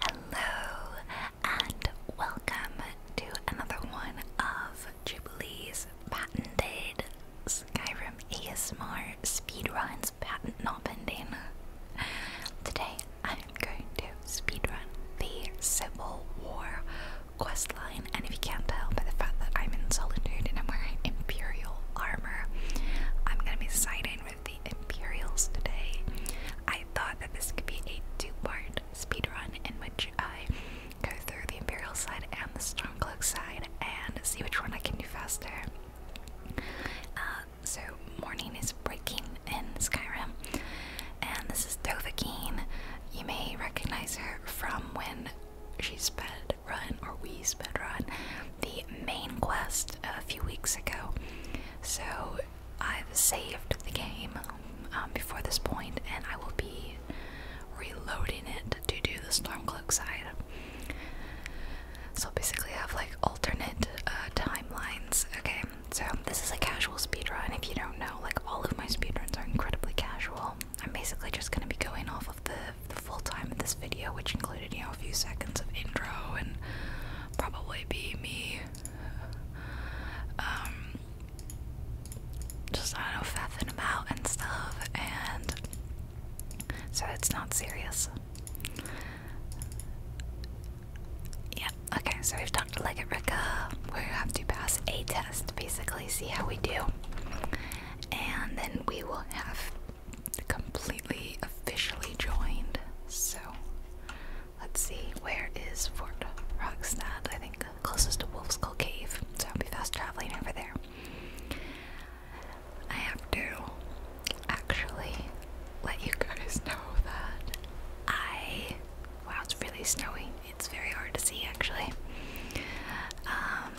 Hello and welcome to another one of Jubilee's patented Skyrim ASMR speedruns, patent not pending. Today I'm going to speedrun the Civil War questline, and if you can't tell by the fact that I'm in solitude and I'm wearing Imperial armor, I'm gonna be siding the Imperials today. I thought that this could be a two-part speed run in which I go through the Imperial side and the Stormcloak side and see which one I can do faster. Uh, so morning is breaking in Skyrim, and this is Dovahkiin. You may recognize her from when she sped run, or we sped run, the main quest a few weeks ago, so I've saved the game um, before this point, and I will be reloading it to do the Stormcloak side. So basically, I have like alternate uh, timelines. Okay, so this is a casual speedrun. If you don't know, like all of my speedruns are incredibly casual. I'm basically just gonna be going off of the full time of this video, which included you know a few seconds of intro and probably be me um, just I don't know faffing about and stuff and so it's not serious. Yeah, okay, so we've talked to like Rika. We have to pass a test, basically, see how we do. And then we will have completely officially joined. So let's see, where is Fort Rogstad? I think closest to Wolf's Skull Cave, so I'll be fast traveling over there. I have to actually let you guys know that I. Wow, it's really snowy. It's very hard to see actually. Um,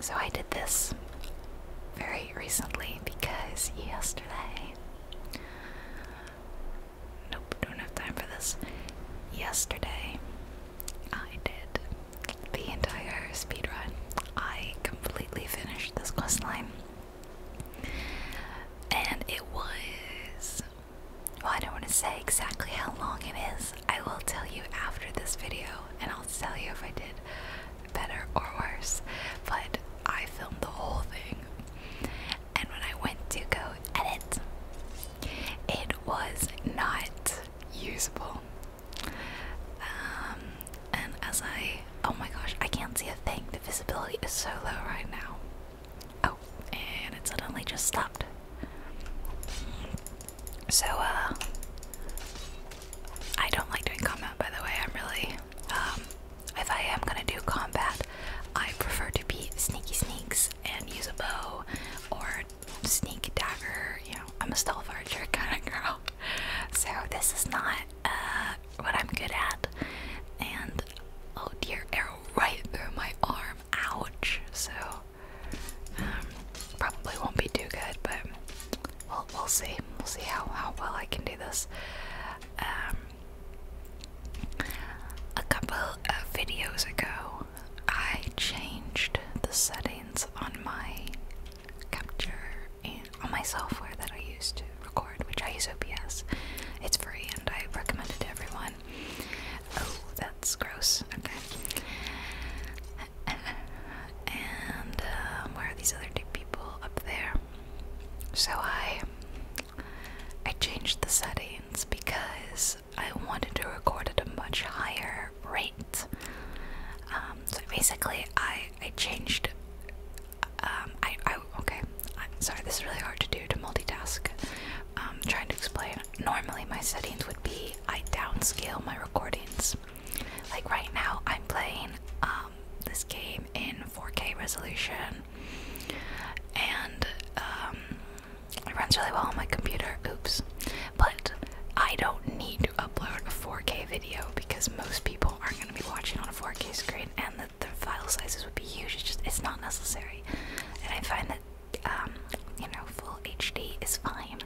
so I did this very recently because yesterday Nope, don't have time for this. Yesterday, I did the entire speed run. I completely finished this quest line. And it was. Well, I don't want to say exactly how long it is. I will tell you after this video, and I'll tell you if I did better or worse, but I filmed the whole thing. And when I went to go edit, it was not usable. Um, and as I, oh my gosh, I can't see a thing. The visibility is so low right now. Oh, and it suddenly just stopped. So, uh, I don't like doing comment, by the way. I'm really, um, if I am gonna do combat, I prefer to be sneaky sneaks and use a bow or sneak dagger. You know, I'm a stealth archer kind of girl, so this is not uh, what I'm good at. And oh dear, arrow right through my arm. Ouch! So um, probably won't be too good, but we'll we'll see. We'll see how how well I can do this. Um, a couple of videos ago, I changed the settings on my capture and on my software that I use to record, which I use OBS. It's free and I recommend it to everyone. Oh, that's gross. Okay. And uh, where are these other two people up there? So I I changed the settings because I wanted to record at a much higher rate. Um, so basically, I I changed. Um, I, I okay. I'm sorry. This is really hard to do to multitask. Um, trying to explain. Normally, my settings would be I downscale my recordings. Like right now, I'm playing um, this game in 4K resolution, and um, it runs really well on my computer. Oops, but I don't need to upload a 4K video because most people aren't going to be watching on a 4K screen, and the, the file sizes would be huge. It's just it's not necessary, and I find that um, you know full HD is fine.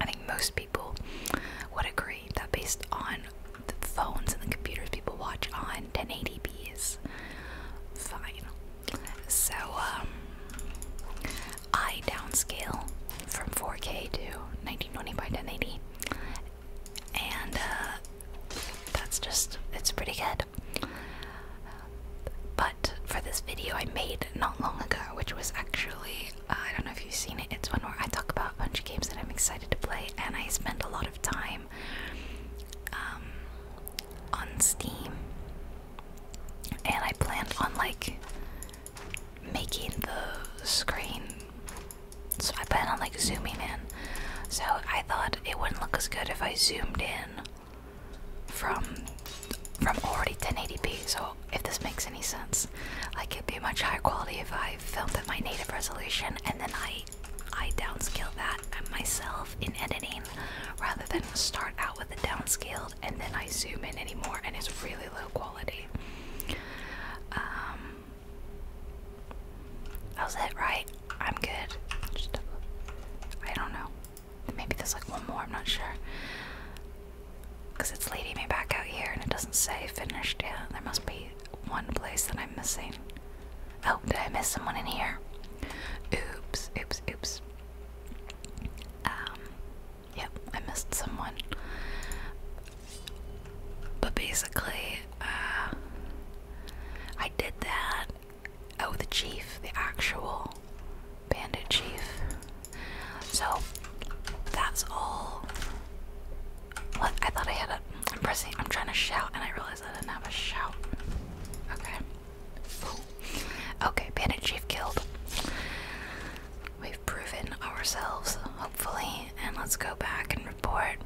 I think most people would agree that based on the phones and the computers people watch on 1080p is fine. So um, I downscale from 4K to 1920 by 1080, and uh, that's just it's pretty good. But for this video I made not long ago, which was actually I don't know if you've seen it, it's one where I talk about a bunch of games that I'm excited to play, and I spend a lot of time um, on Steam, and I planned on like making the screen. So I planned on like zooming in. So I thought it wouldn't look as good if I zoomed in from from already 1080p. So if this makes any sense, like it'd be much higher quality if I filmed at my native resolution and then I I downscale that myself in editing rather than start out with the downscaled and then I zoom in anymore and it's really low quality. Um that was right? I'm good. I don't know. Maybe there's like one more, I'm not sure. Because it's leading me back out here and it doesn't say finished yet. There must be one place that I'm missing. Oh, did I miss someone in here? Oops, oops, oops. Um, yep, I missed someone. But basically, uh, I did that. Oh, the chief, the actual bandit chief. So that's all I thought I had a. I'm pressing. I'm trying to shout, and I realized I didn't have a shout. Okay. Okay, Bandit Chief killed. We've proven ourselves, hopefully, and let's go back and report.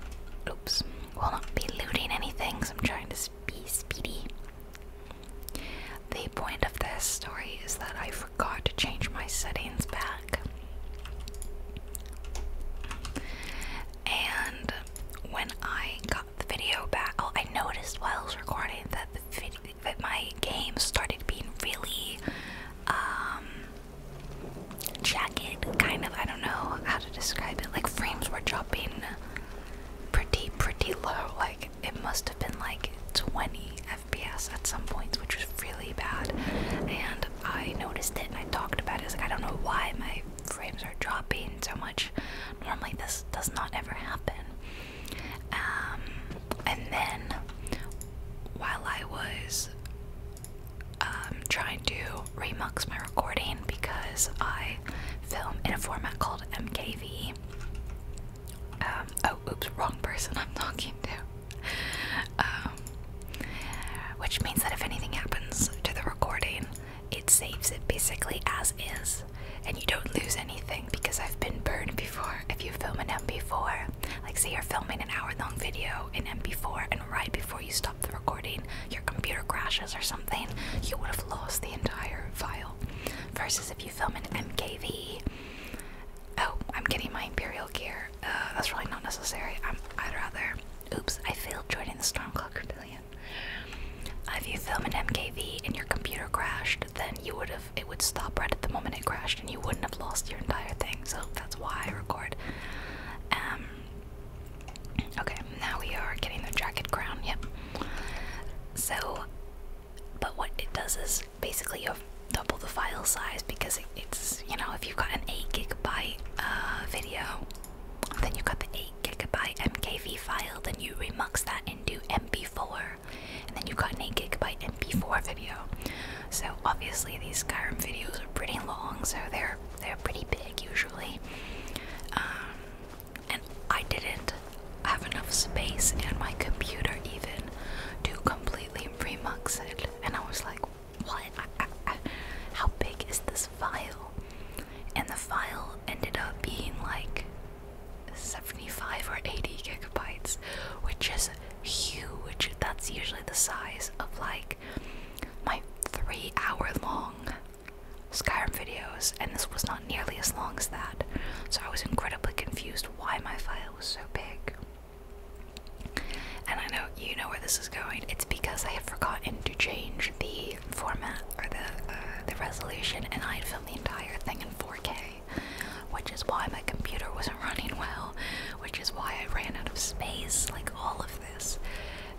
Oops. We'll not be looting anything, so I'm trying to be speedy. The point of this story is that I forgot to change my settings back. And when I got the video back, oh, I noticed while I was recording that the that my game started being really um, jagged, kind of. I don't know how to describe it. Like frames were dropping pretty, pretty low. Like it must have been like 20 FPS at some points, which was really bad. And I noticed it and I talked about it. like I don't know why my frames are dropping so much. Normally this does not ever happen. Um, and then while I was um, trying to remux my recording because I film in a format called MKV. Um, oh, oops, wrong person I'm talking to. Which means that if anything happens to the recording, it saves it basically as is, and you don't lose anything because I've been burned before. If you film an MP4, like say you're filming an hour long video in MP4, and right before you stop the recording, your computer crashes or something, you would have lost the entire file. Versus if you film an MKV, oh, I'm getting my Imperial gear. Uh, that's really not necessary. I'm, I'd rather Oops, I failed joining the Stormcloak Rebellion. if you film an MKV and your computer crashed, then you would have it would stop right at the moment it crashed, and you wouldn't have lost your entire thing. So that's why I record. Um. Okay, now we are getting the jacket ground. Yep. So, but what it does is basically you have double the file size because it's you know if you've got an eight gigabyte uh, video then you got the 8 gigabyte MKV file, then you remux that into MP4, and then you got an 8 gigabyte MP4 video. So obviously these Skyrim videos are pretty long, so they're they're pretty big usually. Um, and I didn't have enough space in my computer even to completely remux it, and I was like, what? how big is this file? And the file ended up being like 75 or 80 gigabytes, which is huge. That's usually the size of like my three hour long Skyrim videos, and this was not nearly as long as that. So I was incredibly confused why my file was so big. And I know you know where this is going. It's because I had forgotten to change the format or the uh, the resolution, and I had filmed the entire thing in 4K, which is why my computer wasn't running well, which is why I ran out of space. Like all of this,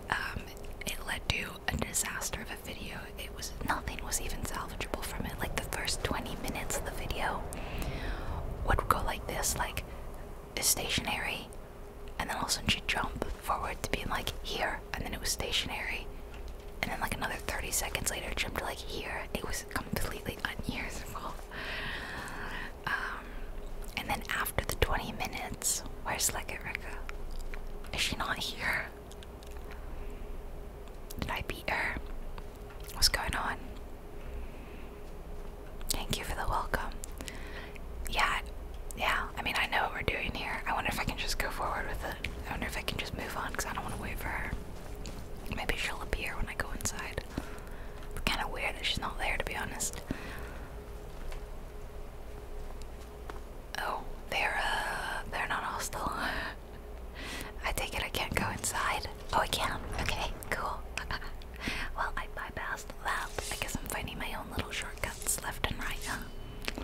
um, it led to a disaster of a video. It was nothing was even salvageable from it. Like the first 20 minutes of the video would go like this, like stationary and then all of a sudden she jumped forward to being like here, and then it was stationary, and then like another 30 seconds later, jumped like here. It was completely unusable. Um, and then after the 20 minutes, where's Leggett Ricka? Is she not here? Did I beat her? What's going on? Thank you for the welcome. Yeah, yeah. I mean, I know what we're doing here. I wonder if I can just go forward with it. I wonder if I can just move on because I don't want to wait for her. Maybe she'll appear when I go inside. It's kind of weird that she's not there, to be honest. Oh, they're uh, they're not hostile. I take it I can't go inside. Oh, I can. Okay, cool. Well, I bypassed that. I guess I'm finding my own little shortcuts left and right, huh?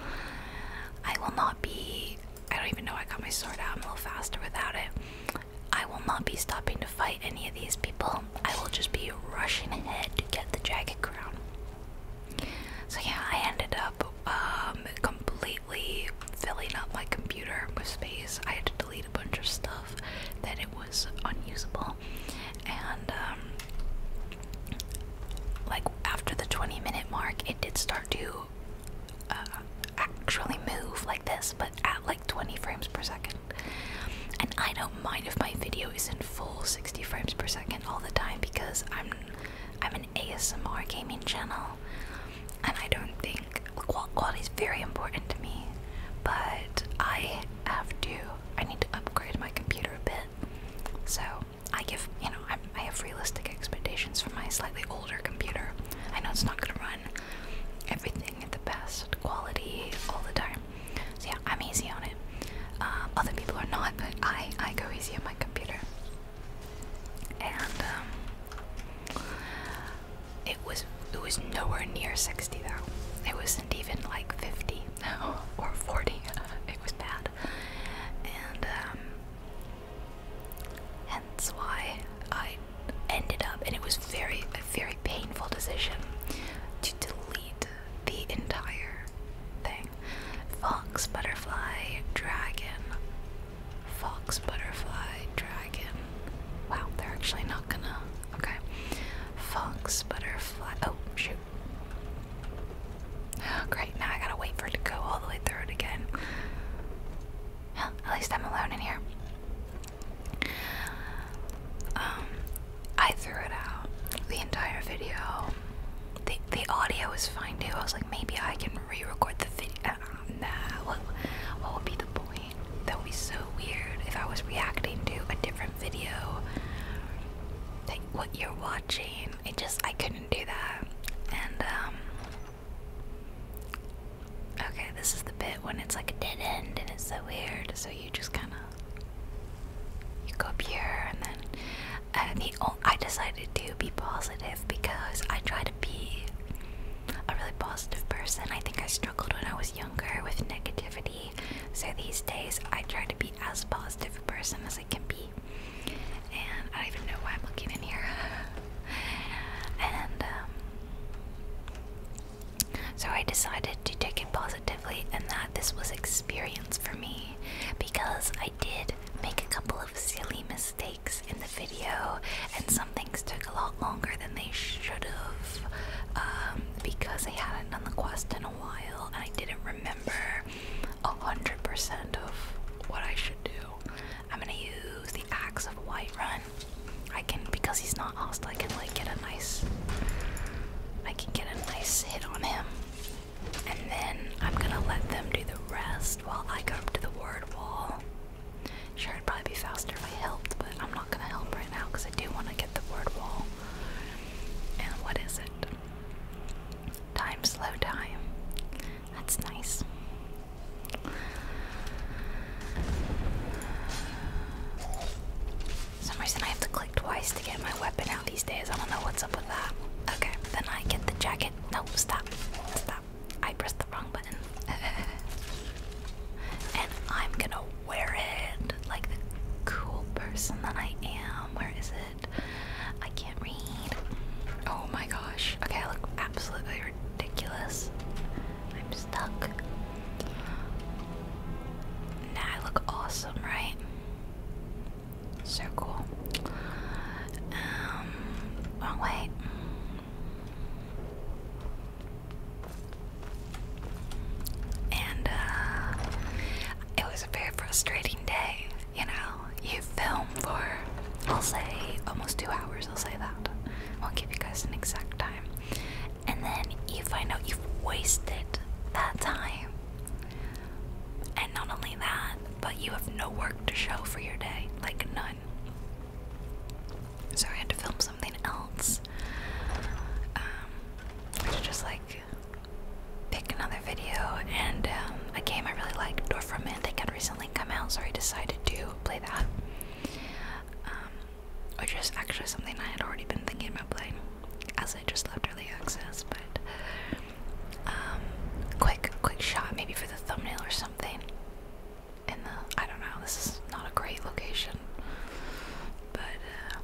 I will not be. I don't even know I got my sword out. I'm a little faster without it. I will not be stopping to fight any of these people. I will just be rushing ahead to get the jagged crown. So, yeah, I ended up um, completely filling up my computer with space. I had to delete a bunch of stuff that it was unusable. And um, like after the 20 minute mark, it did start to uh, actually move like this, but at like 20 frames per second. And I don't mind if my video is in full 60 frames per second all the time because I'm I'm an ASMR gaming channel, and I don't think quality is very important to me. But I have to. I need to upgrade my computer a bit so I give, you know, i I have realistic expectations for my slightly older computer. I know it's not going to run everything at the best quality all the time. So yeah, I'm easy on it. Um, other people are not, but I, I go easy on my computer. And um, it was it was nowhere near 60 though. It wasn't even like 50 or 40. It was bad. And um, hence why I ended up, and it was very, a very painful decision to delete the entire thing. Fox, butterfly, dragon. Fox, butterfly, dragon. Wow, they're actually not gonna. Okay. Fox, butterfly. Oh, shoot great, now I gotta wait for it to go all the way through it again. at least I'm alone in here. Um, I threw it out. The entire video. The, the audio was fine too. I was like, maybe I can re record the video. Ah, nah, what, what would be the point? That would be so weird if I was reacting to a different video what you're watching. It just I couldn't do that. And um Okay, this is the bit when it's like a dead end and it's so weird, so you just kinda you go up here and then uh, I decided to be positive because I try to be a really positive person. I think I struggled when I was younger with negativity so these days I try to be as positive a person as I can be. And I don't even know why I'm looking in here. and um, so I decided to take it positively, and that this was experience for me because I did make a couple of silly mistakes in the video, and some things took a lot longer than they should have um, because I hadn't done the quest in while and I didn't remember a hundred percent of what I should do. I'm gonna use the axe of Whiterun. I can because he's not hostile I can like get a nice I can get a nice hit on him. And then I'm gonna let them do the rest while I go up to the word wall. Sure, it'd probably be faster if I helped, but I'm not gonna help right now because I do want to get the word wall. And what is it? Time slow time. That's nice. Some reason I have to click twice to get my weapon out these days. I don't know what's up with that. Okay, then I get the jacket. No, stop. Stop. I pressed the wrong button. and I'm gonna wear it like the cool person that I am. Um, where is it? I can't read. Oh my gosh. Okay, I look absolutely ridiculous. I'm stuck. I look awesome, right? So cool. Um, oh wait. And uh, it was a very frustrating day. You know, you film for, I'll say, almost two hours, I'll say that. I Won't give you guys an exact time. And then you find out you've wasted that time. And not only that, but you have no work to show for your day. Like, none. So I had to film something else. Um, just like like pick another video and um, a game I really liked, Dwarf Romantic, had recently come out, so I decided to play that. Um, which is actually something I had already been thinking about playing, as I just left early access, but um, quick, quick shot, maybe for the thumbnail or something. In the, I don't know, this is not a great location, but uh,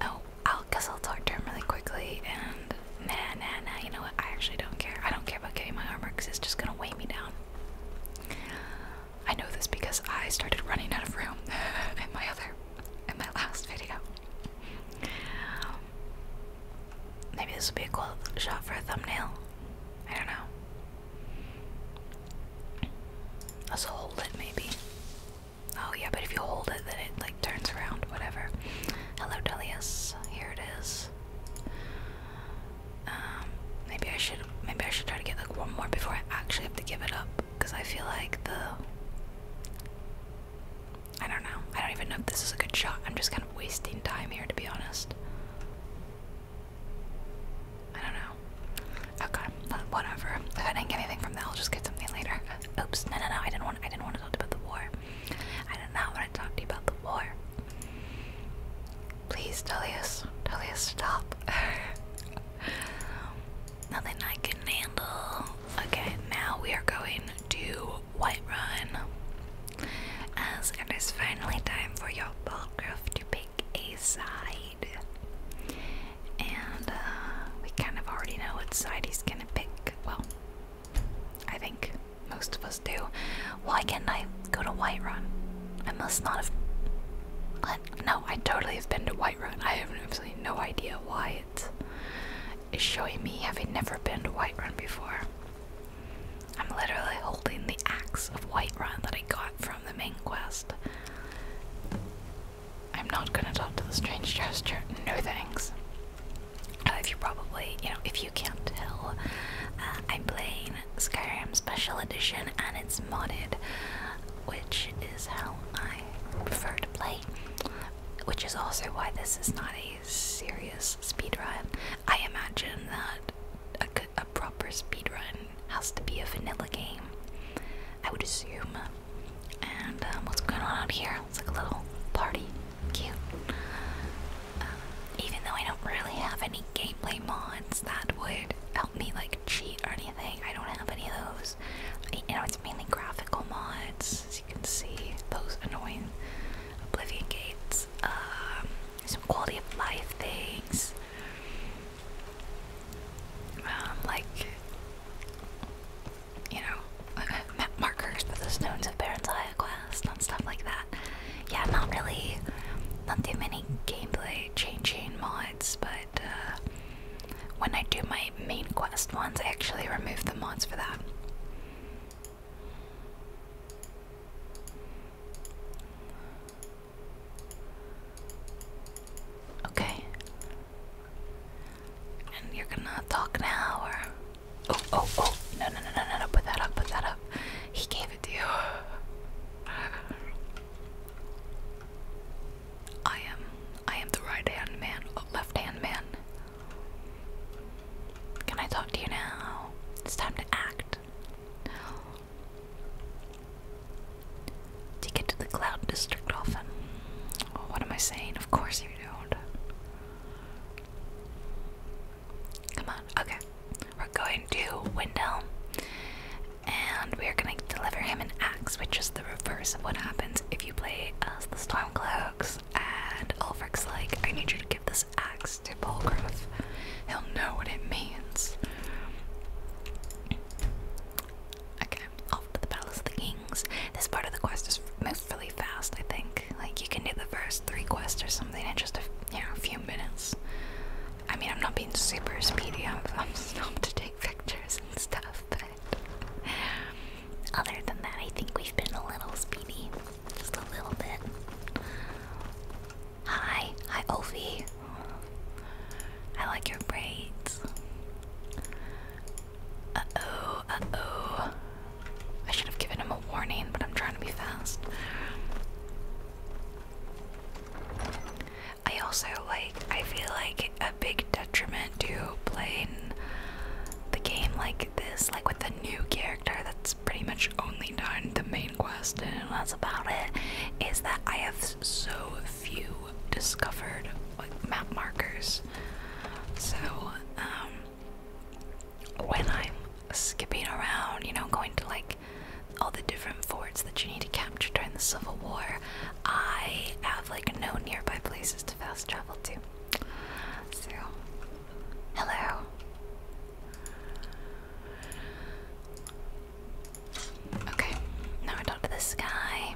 Oh, I'll guess I'll talk to him really quickly and nah, nah, nah. You know what? I actually don't care. I don't care about getting my armor because it's just gonna weigh me down. I know this because I started running out of room in my other, in my last video. maybe this would be a cool shot for a thumbnail. I don't know. Let's hold it, maybe. Oh yeah, but if you hold it, then it like turns around. Whatever. Hello, Delius. Here it is. Um, maybe I should maybe I should try to get like one more before I actually have to give it up because I feel like the I don't know. I don't even know if this is a good shot. I'm just kind of wasting time here to be honest. I don't know. Okay, whatever. If I didn't get anything from that, I'll just get something later. Oops, no, no, no. I didn't want. I didn't want to talk about the war. I did not want to talk to you about the war. Please, Tullius, Tullius, stop. Nothing I can handle. Okay, now we are going to Whiterun. As it is finally time for your ballgriff to pick a side and uh, we kind of already know what side he's gonna pick. Well, I think most of us do. Why can't I go to Whiterun? I must not have. What? No, I totally have been to Whiterun. I have absolutely no idea why it is showing me having never been to Whiterun before. I'm literally holding the axe of Whiterun that I got from the main quest. I'm not gonna talk to the strange gesture. No thanks. Uh, if you probably, you know, if you can't tell, uh, I'm playing Skyrim Special Edition and it's modded, which is how I prefer to play. Which is also why this is not a serious speedrun. I imagine that a, a proper speedrun has to be a vanilla game. I would assume and um, what's going on out here? It's like a little party. Cute. Uh, even though I don't really have any gameplay mods that would help me like cheat or anything, I don't have any of those. You know, it's mainly graphical mods, as you can see. Those annoying Oblivion gates. Um, some quality of life things. Um, like you know, map markers for the stones of Baron's Quest and stuff like that. Yeah, not really, not too many gameplay changing mods, but uh, when I do my main quest ones, I actually remove the mods for that. Okay. And you're gonna talk now, or oh, oh, oh! No, no, no, no, no, no! Put that up, put that up. He gave it to you. I am, I am the right hand man, oh, left hand man. Can I talk to you now? It's time to act. To get to the Cloud District often. Oh, what am I saying? Of course you Come on, okay. We're going to Windhelm and we are going to deliver him an axe, which is the reverse of what happens if you play as the Stormcloaks. And Ulfric's like, I need you to give this axe to Polgrove. He'll know what it means. Okay, off the Palace of the Kings. This part of the quest is really fast, I think. Like, you can do the first three quests or something in just a, you know, few minutes. I mean, I'm not being super speedy, I'm, just am to take pictures and stuff, but other than that, I think we've been a little speedy. Just a little bit. Hi, hi, Ovi. I like your braids. Uh-oh, uh-oh. I should have given him a warning, but I'm trying to be fast. I also like, I feel like a big detriment to playing the game like this, like with a new character that's pretty much only done the main quest and that's about it, is that I have so few discovered like, map markers. So, um, when I'm skipping around, you know, going to like all the different forts that you need to capture during the Civil War, I have like no nearby places to fast travel to. So, hello. Okay, now we're down to this guy.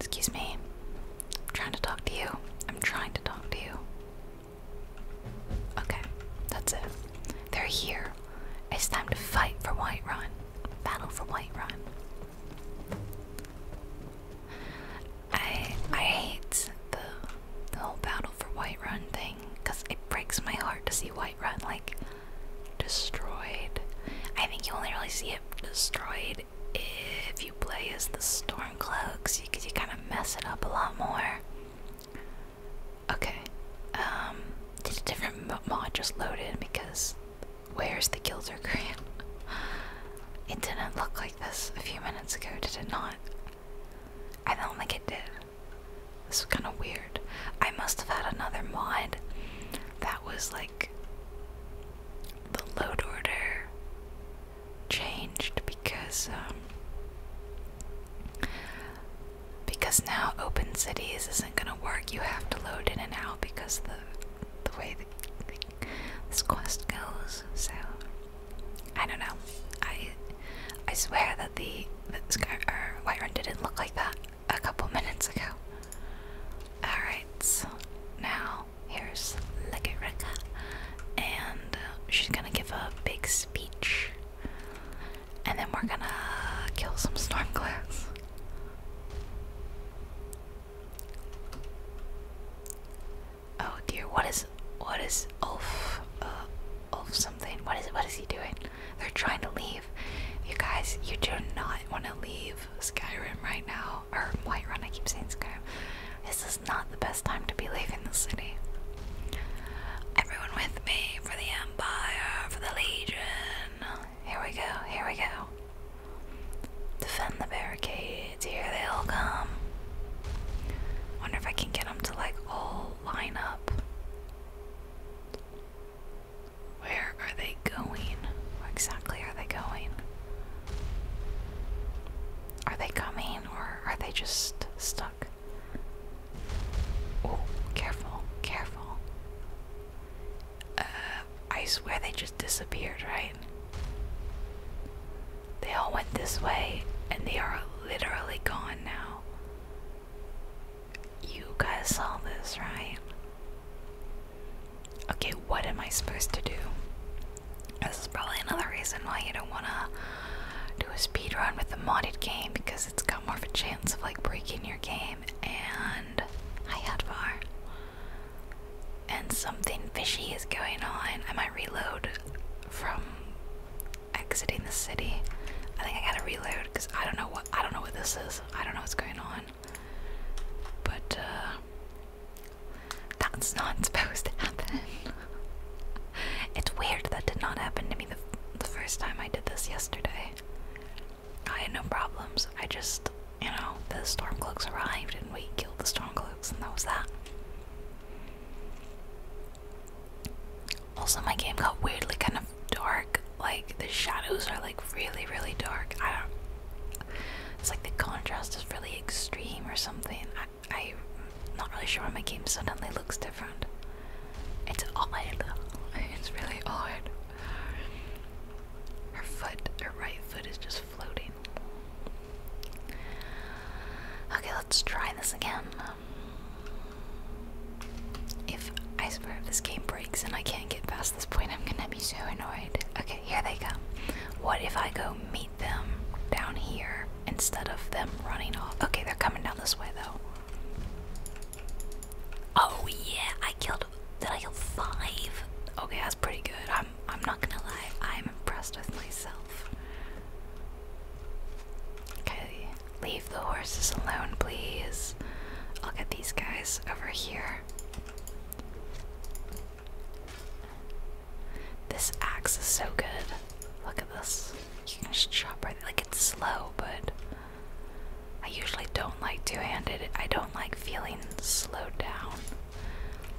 Excuse me. I'm trying to talk to you. I'm trying to talk to you. Okay, that's it. They're here. It's time to fight for Whiterun. Battle for Whiterun. I I hate the the whole battle for Whiterun thing because it breaks my heart to see Whiterun like destroyed. I think you only really see him destroyed if you play as the Stormcloaks, you, you kind of mess it up a lot more. Okay, um, did a different mod just loaded because where's the Gilder Korean? It didn't look like this a few minutes ago, did it not? I don't think it did. This is kind of weird. I must have had another mod that was like the load order changed because um, because now open cities isn't gonna work. You have to load in and out because the the way this quest goes. So I don't know. I I swear that the Sky or Whiterun didn't look like that a couple minutes ago. All right, now here's Legereka, and uh, she's gonna give a big speech, and then we're gonna kill some stormclouds. Oh dear, what is what is Ulf? Uh, Ulf something? What is what is he doing? They're trying to leave. You guys, you do not want to leave Skyrim right now or Whiterun, I keep saying Skyrim. This is not the best time to be leaving the city. Everyone with me for the Empire, for the Legion. Here we go, here we go. Defend the barricades, here they all come. Wonder if I can get them to like all line up. Where are they going? Where exactly are they going? Are they coming or are they just stuck? Oh, careful, careful. Uh, I swear they just disappeared, right? They all went this way and they are literally gone now. You guys saw this, right? okay, what am I supposed to do? This is probably another reason why you don't want to do a speed run with a modded game because it's got more of a chance of like breaking your game. And I had far. And something fishy is going on. I might reload from exiting the city. I think I gotta reload because I don't know what I don't know what this is. I don't know what's going on. But uh, that's not supposed to happen. it's weird that did not happen to me the, the first time I did this yesterday. I had no problems. I just, you know, the stormcloaks arrived and we killed the stormcloaks, and that was that. Also, my game got weirdly kind of dark. Like the shadows are like really, really dark. I don't it's like the contrast is really extreme or something. I, am not really sure why my game suddenly looks different. It's odd. It's really odd. Her foot, her right foot is just floating. Okay, let's try this again. If I swear if this game breaks and I can't get past past this point, I'm gonna be so annoyed. Okay, here they come. What if I go meet them down here instead of them running off? Okay, they're coming down this way though. Oh yeah, I killed. Did I kill five? Okay, that's pretty good. I'm. I'm not gonna lie. I'm impressed with myself. Okay, leave the horses alone, please. I'll get these guys over here. This axe is so good. Look at this. You can just chop right there. Like it's slow, but I usually don't like two-handed. I don't like feeling slowed down.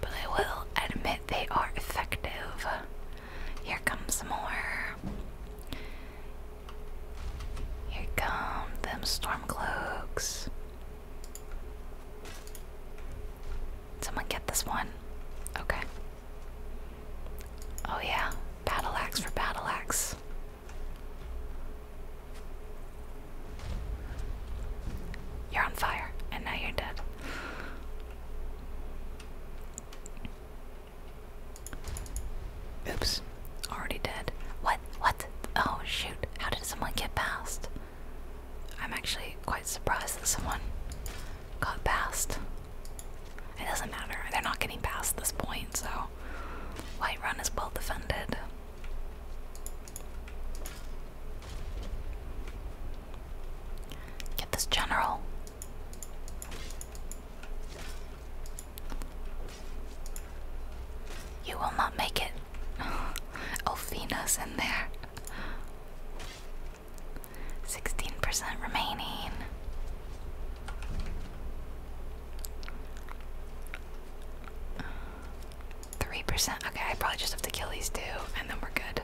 But I will admit they are effective. Here comes more. Here come them storm cloaks. Someone get this one. Okay. Oh yeah, battle axe for battle axe. You're on fire, and now you're dead. Oops, already dead. What? What? Oh shoot, how did someone get past? I'm actually quite surprised that someone got past. It doesn't matter, they're not getting past this point, so White Run is well defended. Get this general. You will not make it. oh, in there. Sixteen percent remaining. Three percent. Okay, I probably just have to kill these two, and then we're good.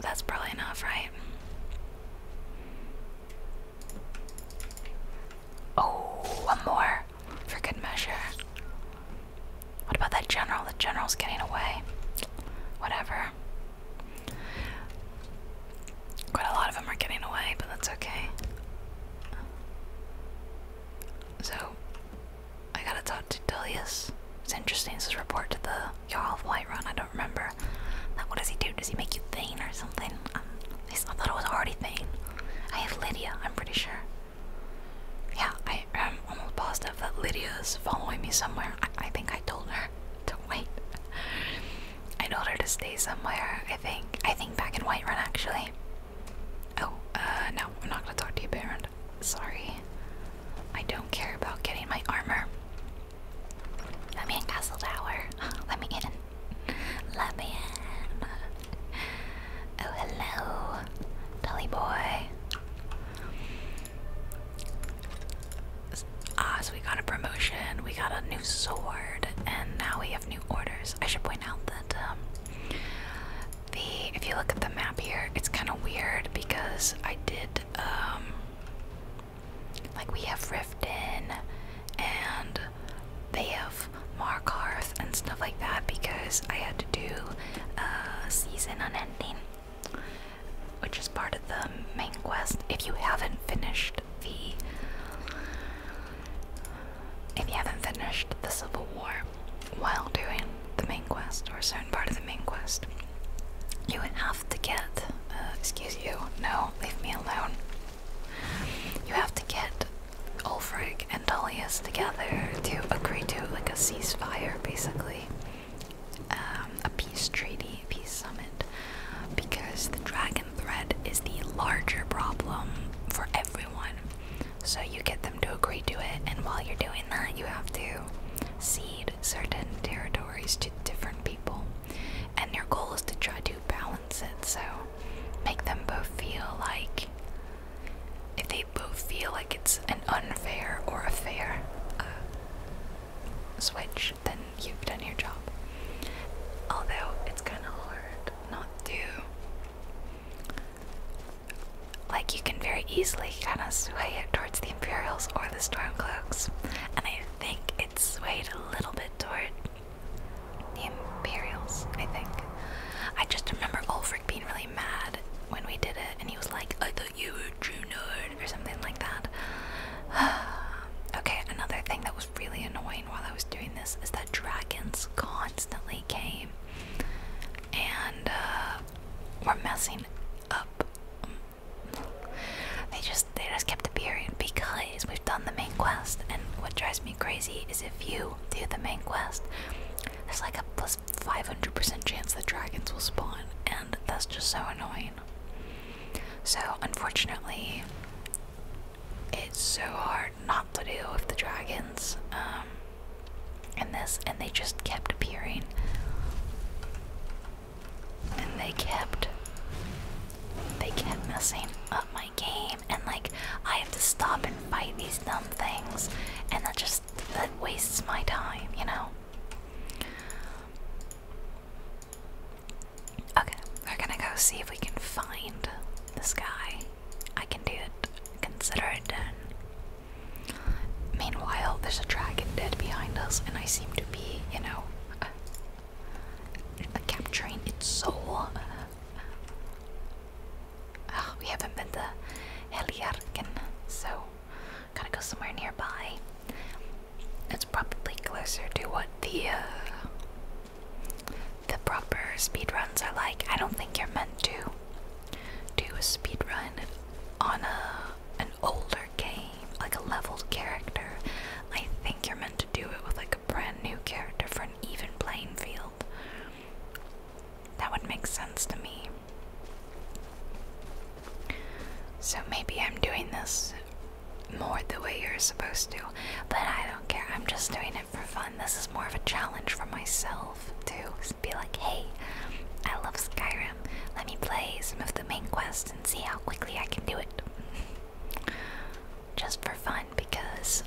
That's probably enough, right? Oh, one more for good measure. What about that general? The general's getting away. Whatever. Quite a lot of them are getting away, but that's okay. So, I gotta talk to Dilius. It's interesting, this report to the Jarl of Whiterun, I don't remember. Like, what does he do? Does he make you thin or something? Um, I thought it was already Thane. I have Lydia, I'm pretty sure. Yeah, I am almost positive that Lydia's following me somewhere. I, think I told her to wait. I told her to stay somewhere, I think. I think back in Whiterun, actually. Oh, uh, no, I'm not gonna talk to you, Baron. Sorry. I don't care about getting my armor. Let me in Castle Tower. Let me in. Let me in. Oh, hello, Dolly boy. Ah, so we got a promotion, we got a new sword, and now we have new orders. I should point out that um, the if you look at the map here, it's kind of weird because I did um, like we have Riften and they Beowulf, Markarth, and stuff like that because I had to do a season unending, which is part of the main quest. If you haven't finished the, if you haven't finished the Civil War while doing the main quest or a certain part of the main quest, you would have to get. Uh, excuse you. No, leave me alone. You have to get Ulfric and Tullius together to agree to like a ceasefire, basically, um, a peace treaty, peace summit, because the dragon threat is the larger problem for everyone. So you get them to agree to it, and while you're doing that, you have to cede certain territories to different people. And your goal is to try to balance it, so make them both feel like if they both feel like it's an unfair or a fair uh, switch, then you've done your job. Although it's kind of hard not to. Like, you can very easily kind of sway it towards the Imperials or the Stormcloaks, and I think it's swayed a little bit toward the Imperials, I think. I just remember Ulfric being really mad when we did it, and he was like, I thought you were true nerd, or something like that. okay, another thing that was really annoying while I was doing this is that dragons constantly came and uh, were messing up. They just they just kept appearing because we've done the main quest, and what drives me crazy is if you do the main quest, there's like a plus 500% chance that dragons will spawn, and that's just so annoying. So, unfortunately, it's so hard not to deal with the dragons um, this, and they just kept appearing. And they kept. They kept messing up my game and like I have to stop and fight these dumb things and that just that wastes my time, you know. Okay, we're gonna go see if we can find this guy. I can do it. Consider it done. Meanwhile, there's a dragon dead behind us, and I seem to be, you know, uh, capturing its soul we haven't been to Heljarken, so gotta go somewhere nearby. It's probably closer to what the uh, the proper speedruns are like. I don't think you're meant to do a speedrun on a an older game, like a leveled character. I think you're meant to do it with like brand new character for an even playing field. That would make sense to me. So maybe I'm doing this more the way you're supposed to, but I don't care. I'm just doing it for fun. This is more of a challenge for myself to be like, hey, I love Skyrim. Let me play some of the main quests and see how quickly I can do it just for fun because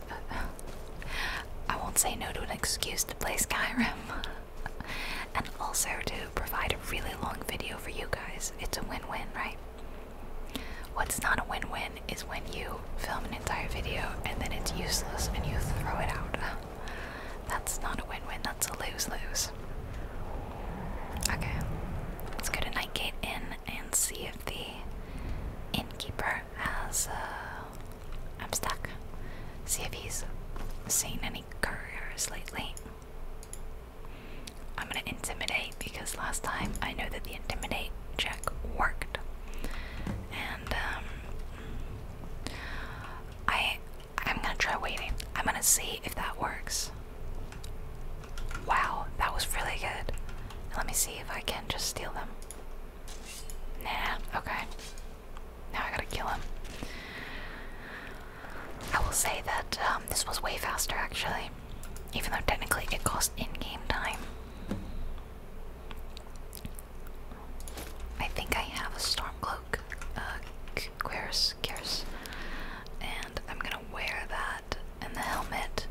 I won't say no to an excuse to play Skyrim. and also to provide a really long video for you guys. It's a win win, right? What's not a win win is when you film an entire video and then it's useless and you throw it out. That's not a win win, that's a lose lose. Okay, let's go to Nightgate Inn and see if the innkeeper has. Uh, I'm stuck. See if he's seen any couriers lately. I'm gonna intimidate because last time I know that the intimidate check worked, and um, I'm gonna try waiting. I'm gonna see if that works. Wow, that was really good. Let me see if I can just steal them. Nah, okay. Now I gotta kill him. I will say that um, this was way faster actually, even though technically it cost in game time. I think I have a Stormcloak, uh, Querus, Querus, and I'm gonna wear that and the helmet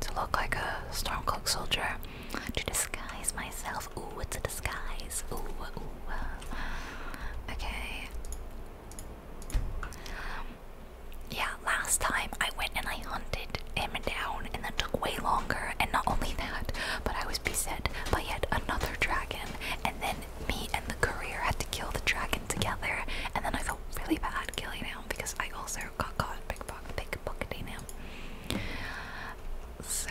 to look like a Stormcloak soldier, to disguise myself. Ooh, it's a disguise. Ooh, ooh. Okay. Yeah, last time I went and I hunted him down, and that took way longer. And not only that, but I was beset by yet another dragon. And then me and the courier had to kill the dragon together. And then I felt really bad killing him because I also got caught pickpocket pickpocketing him. So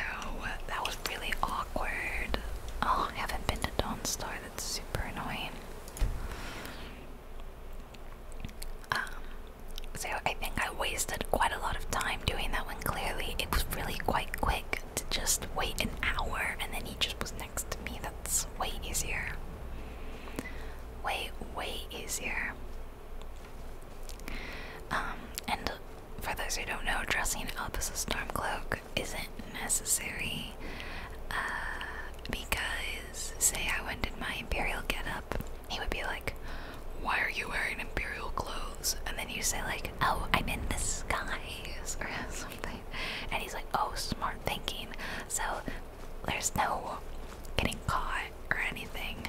that was really awkward. Oh, I haven't been to Dawn Star. That's super annoying. Um, so I think I wasted quite a lot of time doing that one. Clearly, it was really quite quick to just wait an hour, and then he just was next to me. That's way easier. Way, way easier. Um, and for those who don't know, dressing up as a stormcloak isn't necessary uh, because, say, I went in my imperial getup, he would be like, "Why are you wearing imperial clothes?" And then you say like, "Oh, I'm in disguise" or something, and he's like, "Oh, smart thinking." So there's no getting caught or anything,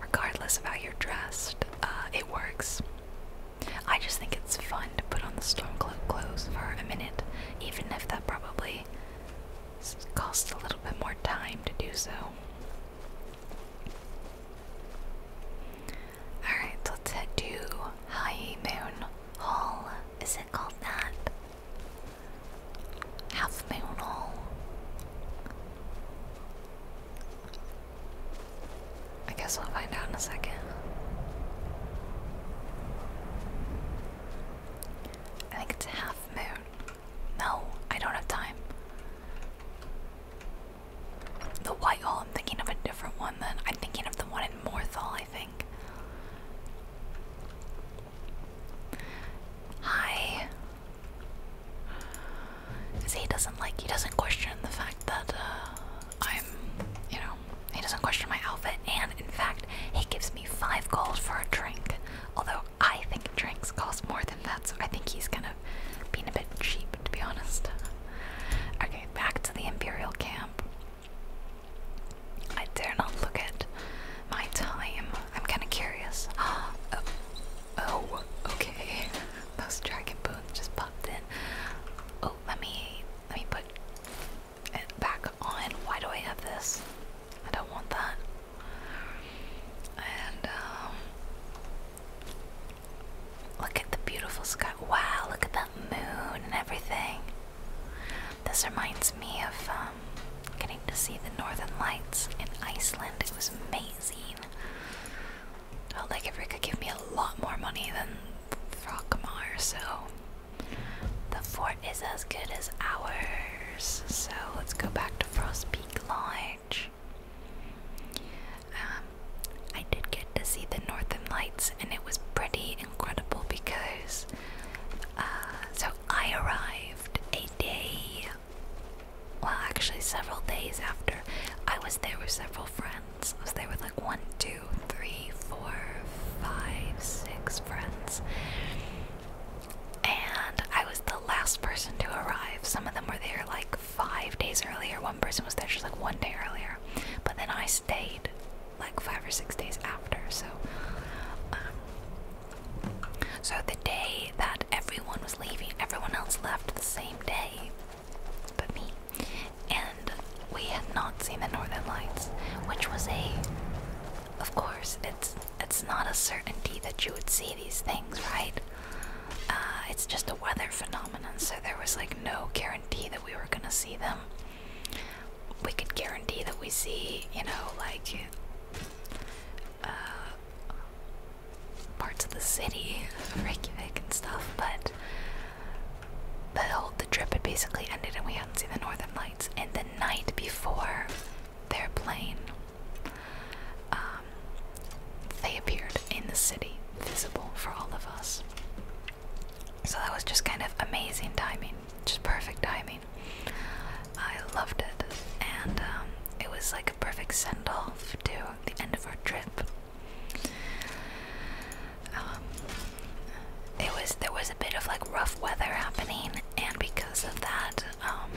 regardless of how you're dressed. Uh, it works. I just think it's fun to put on the Stormcloak clothes for a minute, even if that probably costs a little bit more time to do so. Alright, let's head to High Hall. Is it called that? half moon hall. I guess we'll find out in a second. I think it's half moon. No, I don't have time. The White Hall, I'm thinking of a different one then. I'm thinking of the one in Morthal, I think. Hi. Cause he doesn't like he doesn't question the fact that uh, I'm, you know, he doesn't question my outfit, and in fact, he gives me five gold for a drink. Although I think drinks cost more than that, so I think he's kind of being a bit cheap, to be honest. Okay, back to the Imperial camp. I dare not look at my time I'm kind of curious. Oh, oh, okay. Those dragon bones just popped in. Oh, let me let me put it back on. Why do I have this? I don't want that. And um, look at the beautiful sky. Wow, look at that moon and everything. This reminds me of um, getting to see the northern lights in Iceland. It was amazing. I would like if we could give me a lot more money than Frogmar, so the fort is as good as ours. So let's go back to Frost Peak Lodge. Um, I did get to see the Northern Lights, and it was pretty incredible because. Uh, so I arrived a day well, actually, several days after. I was there with several friends. I was there with like one, two, three, four, five, six friends. And I was the last person to arrive. Some of them were there like five days earlier. One person was there just like one day earlier. But then I stayed like five or six days after. So um, so the day that everyone was leaving, everyone else left the same day but me. And we had not seen the northern lights, which was a of course it's it's not a certainty that you would see these things, right? Uh, it's just a weather phenomenon, so there was like no guarantee that we were gonna see them. We could guarantee that we see, you know, like uh, parts of the city of Reykjavik and stuff, but the whole the trip had basically ended and we hadn't seen the northern lights. And the night before their plane, um, they appeared in the city, visible for all of us. So that was just kind of amazing timing, just perfect timing. I loved it, and um, it was like perfect send off to the end of our trip. Um, it was there was a bit of like rough weather happening, and because of that, um,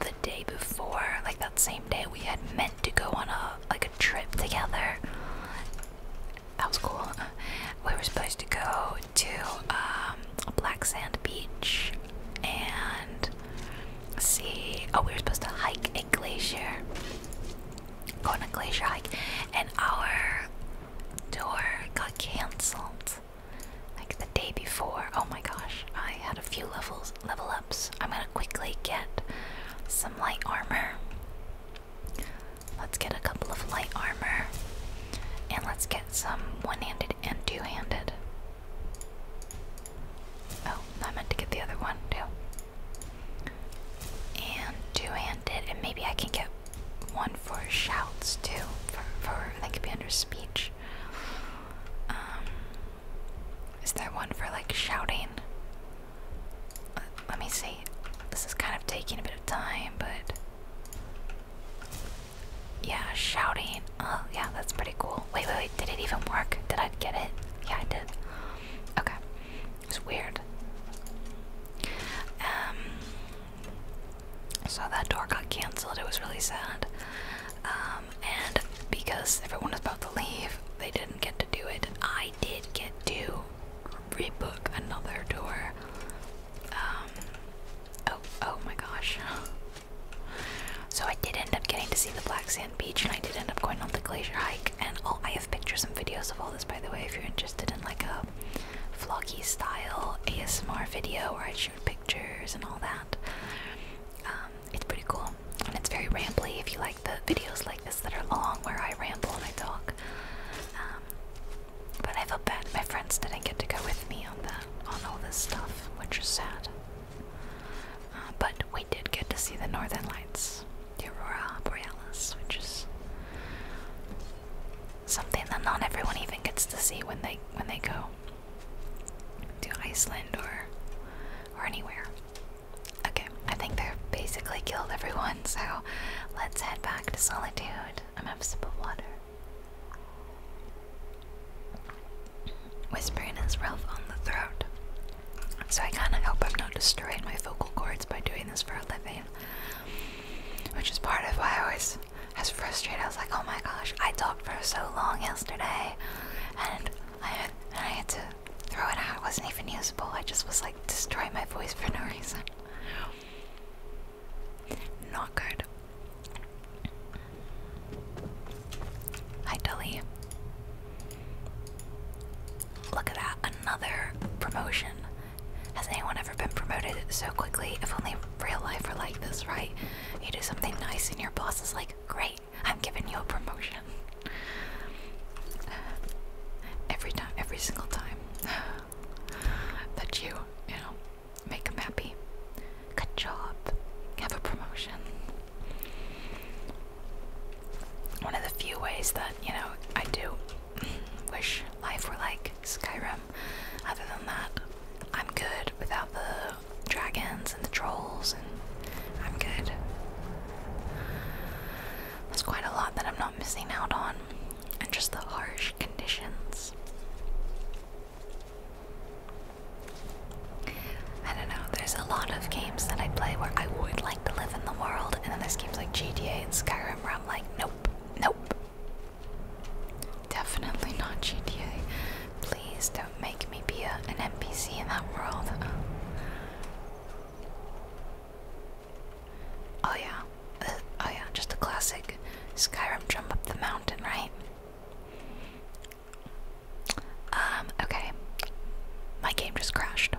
the day before, like that same day, we had meant to go on a like a trip together. That was cool. We were supposed to go to um, Black Sand Beach and see. Oh, we were supposed to hike a glacier, go on a glacier hike, and our tour got canceled like the day before. Oh my gosh, I had a few levels level ups. I'm gonna quickly get some light armor. Let's get a couple of light armor and let's get some one handed and two handed. Oh, I meant to get the other one too. And two-handed, and maybe I can get one for shouts too. For, for that could be under speech. Um, is there one for like shouting? let me see. This is kind of taking a bit of time, but yeah, shouting. Oh, yeah, that's pretty cool. Wait, wait, wait. Did it even work? Did I get it? Yeah, I did. Okay. It's weird. Um. So that door got cancelled. It was really sad. Um, and because everyone was about to leave, they didn't get to do it. I did get to rebook another door. Um. Oh, oh my gosh. So I did end up getting to see the Black Sand Beach, and I did end up going on the glacier hike. And all I have pictures and videos of all this, by the way, if you're interested in like a vloggy style ASMR video where I shoot pictures and all that. Um, it's pretty cool, and it's very rambly. If you like the videos like this that are long, where I ramble and I talk. Um, but I felt bad my friends didn't get to go with me on that on all this stuff, which is sad. Uh, but we did get to see the northern lights, the aurora borealis, which is something that not everyone even gets to see when they when they go to Iceland or or anywhere. Okay, I think they've basically killed everyone, so let's head back to Solitude. I'm out of sip of water. Whispering is rough on the throat. So I kinda hope I'm not destroying my vocal cords by doing this for a living. Which is part of why I always I was frustrated. I was like, oh my gosh, I talked for so long yesterday and I had, to throw it out. It wasn't even usable. I just was like destroy my voice for no reason. Not good. Hi, Dully. Look at that, another promotion. Has anyone ever been promoted so quickly? If only real life were like this, right? You do something nice and your boss is like, great, I'm giving you a promotion. Every time, every single time. that you, you know, Make them happy. Good job. Have a promotion. One of the few ways that, you know, I do wish life were like Skyrim. Other than that, I'm good without the dragons and the trolls, and I'm good. There's quite a lot that I'm not missing out on, and just the harsh conditions. I don't know, there's a lot of games that I play where I would like to live in the world, and then there's games like GTA and Skyrim where I'm like, nope, nope. Definitely not GTA. Please don't make me be a, an NPC in that world. Oh yeah, uh, oh yeah, just a classic Skyrim jump up the mountain, right? Um, okay. My game just crashed.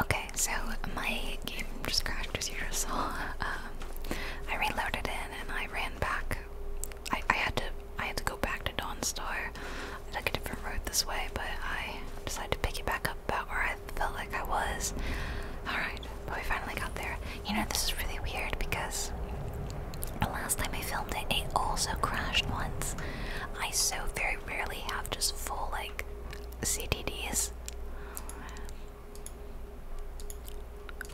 Okay, so my game just crashed as you just saw. Um, I reloaded it and I ran back. I, I had to I had to go back to Dawnstar. I took a different route this way, but I decided to pick it back up about where I felt like I was. Alright, but we finally got there. You know, this is really weird because the last time I filmed it, it also crashed once. I so very rarely have just full, like, CDDs.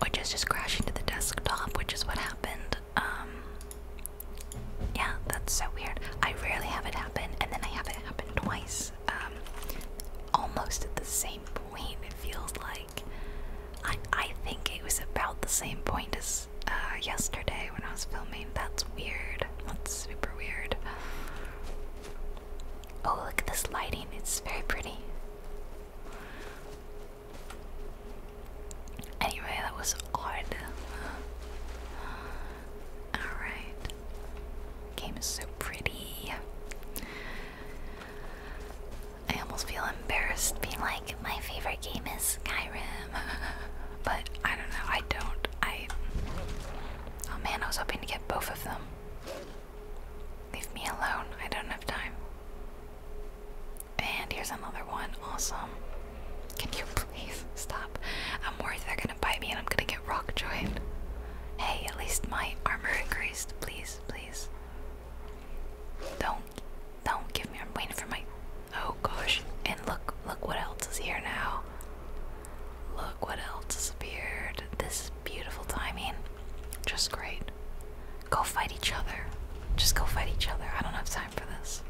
or just just crashing to the desktop, which is what happened. Um, yeah, that's so weird. I rarely have it happen, and then I have it happen twice. Um, almost at the same point, it feels like. I I think it was about the same point as uh, yesterday when I was filming. That's weird. That's super weird. Oh, look at this lighting. It's very pretty. Anyway, that was odd. Alright. Game is so pretty. I almost feel embarrassed being like, my favorite game is Skyrim. but I don't know, I don't. I. Oh man, I was hoping to get both of them. Leave me alone, I don't have time. And here's another one, awesome. Can you please stop? I'm worried they're gonna bite me and I'm gonna get rock joined. Hey, at least my armor increased, please, please. Don't, don't give me. I'm waiting for my. Oh gosh! And look, look what else is here now. Look what else has appeared. This is beautiful timing. Just great. Go fight each other. Just go fight each other. I don't have time for this.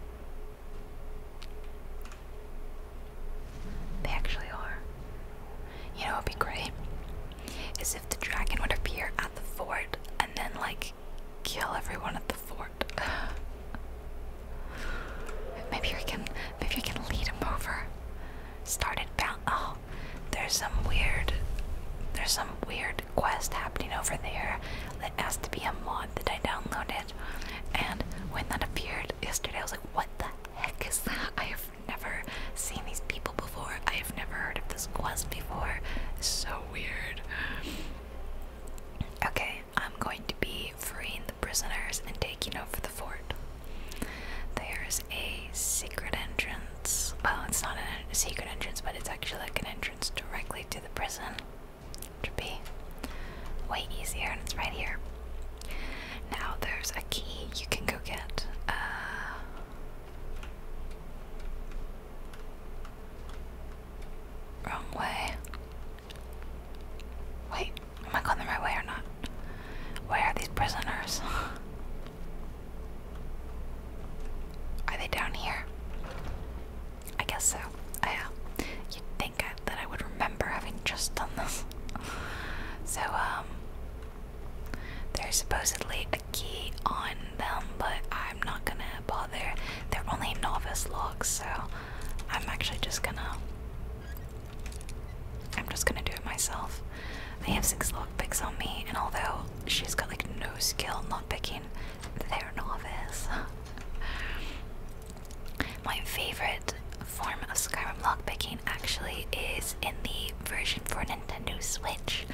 They actually are. You know, it'd be great as if the dragon would appear at the fort and then, like, kill everyone at the fort. maybe I can, maybe I can lead him over. Started bound. Oh, there's some weird, there's some weird quest happening over there that has to be a mod that I downloaded. And when that appeared yesterday, I was like, what the heck is that? I have never seen these people I have never heard of this quest before. It's so weird. Okay, I'm going to be freeing the prisoners and taking over the fort. There's a secret entrance. Well, it's not a secret entrance, but it's actually like an entrance directly to the prison. Which would be way easier, and it's right here. Now there's a key you can go get. Uh, Wrong way. Wait, am I going the right way or not? Where are these prisoners? Are they down here? I guess so. Yeah. Uh, you'd think I, that I would remember having just done this. so, um, there's supposedly key on them, but I'm not gonna bother. They're only novice locks, so I'm actually just gonna. I'm just gonna do it myself. I have six lockpicks on me, and although she's got like no skill not picking, they're novice. My favorite form of Skyrim lockpicking actually is in the version for Nintendo Switch.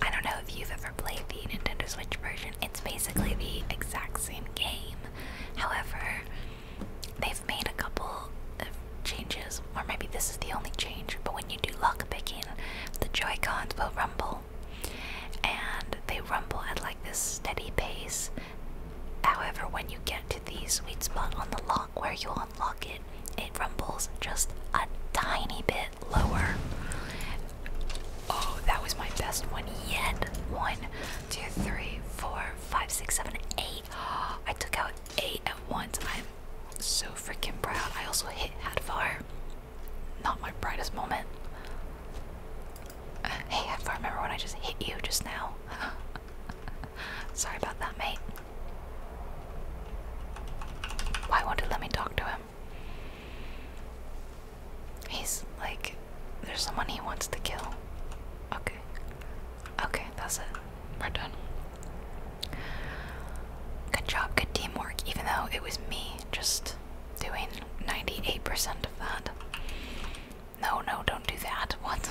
I don't know if you've ever played the Nintendo Switch version, it's basically the exact same game. However, they've made a couple of changes, or maybe this is the only change, but when you do lock picking, the Joy-Cons will rumble. And they rumble at like this steady pace. However, when you get to the sweet spot on the lock where you unlock it, it rumbles just a tiny bit lower. Oh, that was my best one yet. One, two, three, four, five, six, seven, eight. I took out eight at once. I'm so freaking proud. I also hit Hadvar. Not my brightest moment. Uh, hey, Hadvar, remember when I just hit you just now? Sorry about that, mate. Why won't it let me talk to him? He's like, there's someone he wants to kill. Okay. Okay, that's it. We're done. Good job, good teamwork, even though it was me just doing 98% of that. No, no, don't do that. What?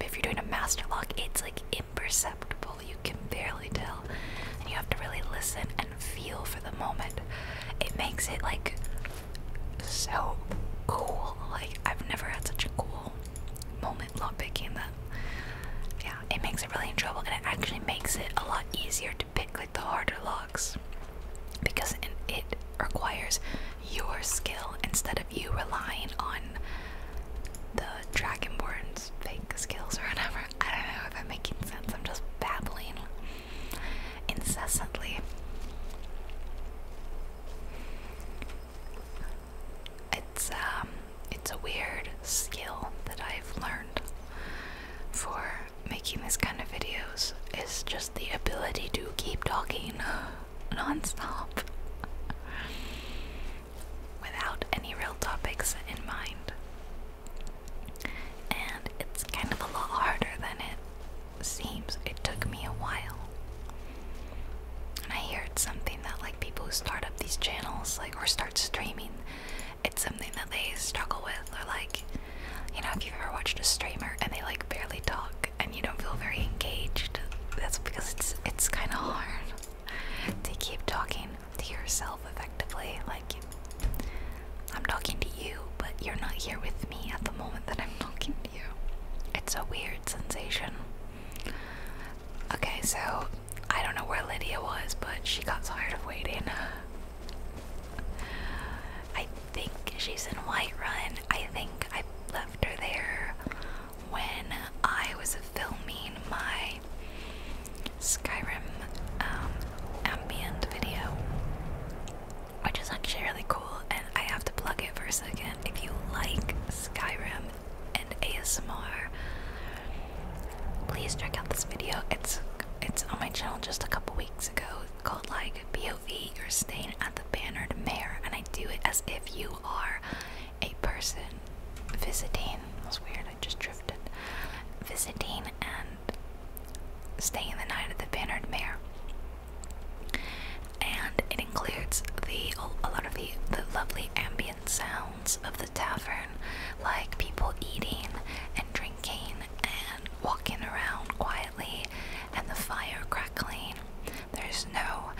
If you're doing a master lock, it's like imperceptible. You can barely tell. And you have to really listen and feel for the moment. It makes it like so cool. Like I've never had such a cool moment lock picking. that yeah, it makes it really enjoyable and it actually makes it a lot easier to pick like the harder locks because it requires your skill instead of you relying on the Dragonborn's fake skills or whatever. I don't know if I'm making sense. I'm just babbling incessantly. It's um it's a weird skill that I've learned for making this kind of videos is just the ability to keep talking nonstop without any real topics in mind. And it's kind of a lot harder than it seems. It took me a while. And I heard something that like people who start up these channels like or start streaming, it's something that they struggle with or like you know, if you've ever watched a streamer and they like barely talk and you don't feel very engaged, that's because it's it's kind of hard to keep talking to yourself effectively. Like I'm talking to you, but you're not here with me at the moment that I'm talking to you. It's a weird sensation. Okay, so I don't know where Lydia was, but she got tired of waiting. I think she's in Whiterun. I think I left her there when I was filming my Skyrim um, ambient video, which is actually really cool. And I have to plug it for a second. If you like Skyrim and ASMR, please check out this video. It's it's on my channel just a couple weeks ago called like be you're staying at the bannered mayor, and I do it as if you are a person visiting. That's weird, I just drifted. Visiting and staying the night at the bannered mayor. And it includes a lot of the lovely ambient sounds of the tavern, like people eating and drinking and walking around quietly and the fire crackling there's no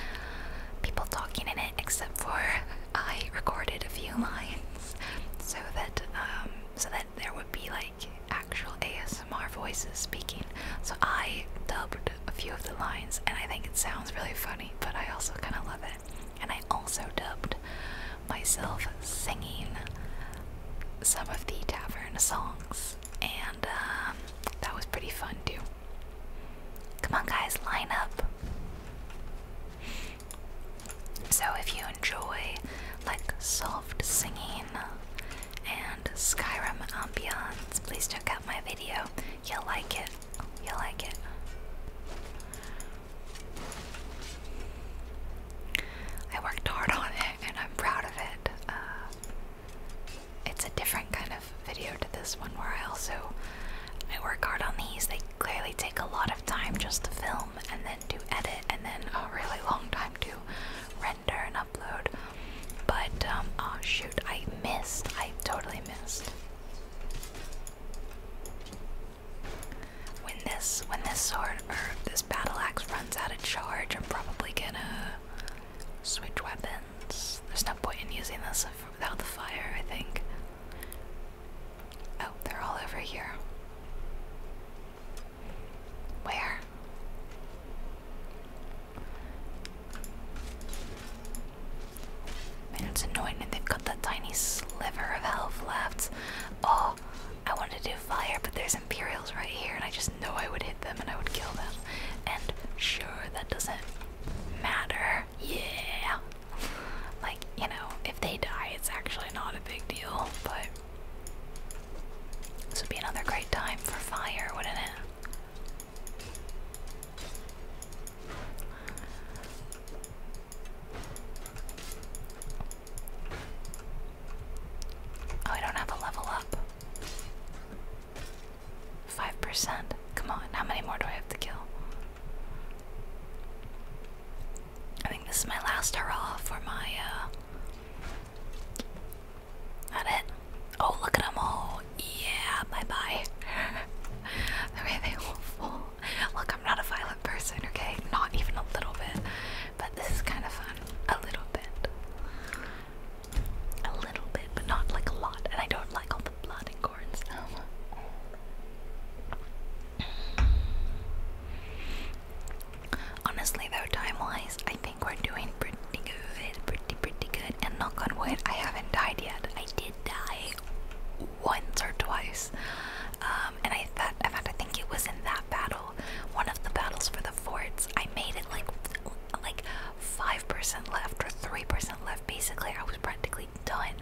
people talking in it except for I recorded a few lines so that um, so that there would be like actual ASMR voices speaking. So I dubbed a few of the lines and I think it sounds really funny, but I also kind of love it. And I also dubbed myself singing some of the tavern songs and um, that was pretty fun too. Come on, guys, line up. So, if you enjoy like soft singing and Skyrim ambiance, please check out my video. You'll like it. You'll like it. I worked hard on it and I'm proud of it. Uh, it's a different kind of video to this one where I also I work hard on these. They clearly take a lot of time just to film and then to edit and then a really long time to render and upload. But um oh shoot, I missed. I totally missed. When this when this sword or this battle axe runs out of charge, I'm probably gonna switch weapons there's no point in using this without the fire, I think. Oh, they're all over here. Where? Man, it's annoying that they've got that tiny sliver of health left. Oh, I wanted to do fire, but there's Imperials right here, and I just know I would hit them and I would kill them. And sure, that doesn't matter. Yeah. Like, you know, if they die, it's actually not a big deal, but this would be another great time for fire, wouldn't it? Oh, I don't have a level up. Five percent. Come on, how many more do I have to kill? I think this is my last hurrah for my, uh. it? Oh, look at them all. Yeah, bye bye. the way they all fall. Look, I'm not a violent person, okay? Not even a little bit. But this is kind of fun. A little bit a little bit, but not like a lot. And I don't like all the blood and gore and stuff. Honestly, though, time-wise, I think we're doing pretty good, pretty pretty good. And knock on wood, I haven't died yet. I did die once or twice, um, and I thought, in fact, I think it was in that battle, one of the battles for the forts. I made it like, like 5% left or 3% left. Basically, I was practically done.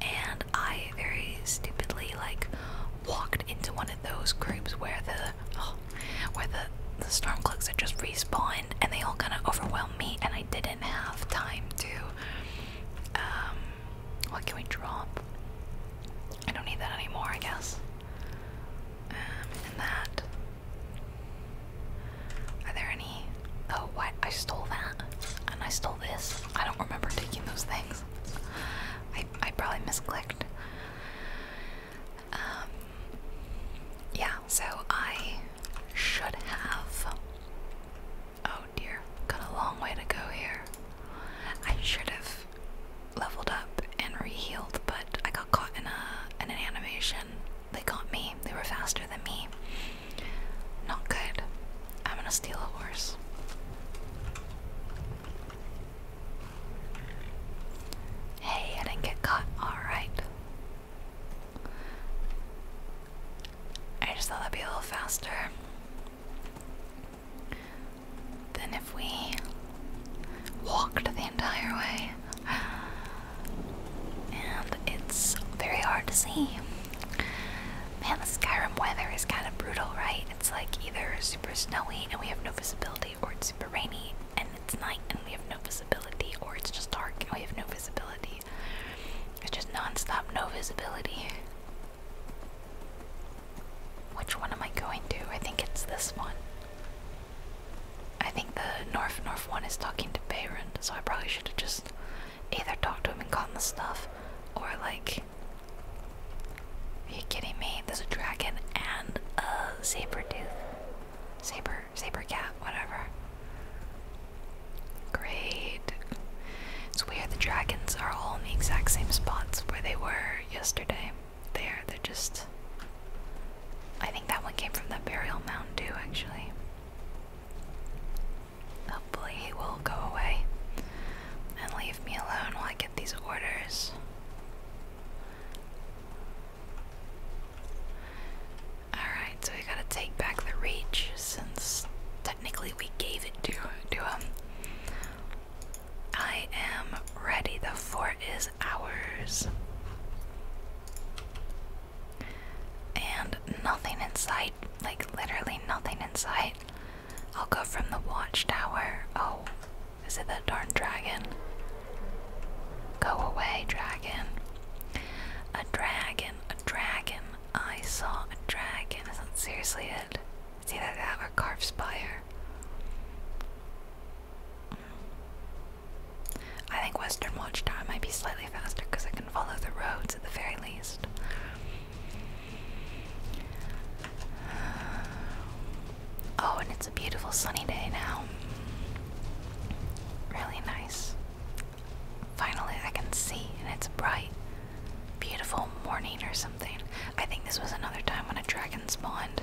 And I very stupidly like walked into one of those groups where the oh, where the, the storm cloaks had just respawned and they all kind of overwhelmed me and I didn't have time to um what can we drop? I don't need that anymore, I guess. Um, and that are there any? Oh, what? I stole that, and I stole this. I don't remember taking those things. I I probably misclicked. Um. Yeah. So I should have. Oh dear, got a long way to go here. I should have leveled up and rehealed, but I got caught in a in an animation they got me. They were faster than me. Not good. I'm gonna steal a horse. Hey, I didn't get caught. Alright. I just thought that'd be a little faster than if we walked entire way. And it's very hard to see. Man, the Skyrim weather is kind of brutal, right? It's like either super snowy and we have no visibility, or it's super rainy and it's night and we have no visibility, or it's just dark and we have no visibility. It's just non-stop no visibility. Which one am I going to? I think it's this one. I think the North North one is talking to Baron, so I probably should have just either talked to him and gotten the stuff, or like, are you kidding me? There's a dragon and a saber tooth, saber, saber cat, whatever. Great. It's weird the dragons are all in the exact same spots where they were yesterday. There, they're just. I think that one came from the burial mound too, actually. Hopefully he will go away and leave me alone while I get these orders. Alright, so we gotta take back the reach since technically we gave it to, to him. I am ready. The fort is ours and nothing in sight, like literally nothing in sight. I'll go from the watchtower. Oh, is it that darn dragon? Go away, dragon. A dragon, a dragon. I saw a dragon. Is that seriously it? It's either that or Carve Spire. I think Western Watchtower might be slightly faster because I can follow the roads at the very least. Oh, and it's a beautiful sunny day now. Really nice. Finally, I can see, and it's bright, beautiful morning or something. I think this was another time when a dragon spawned.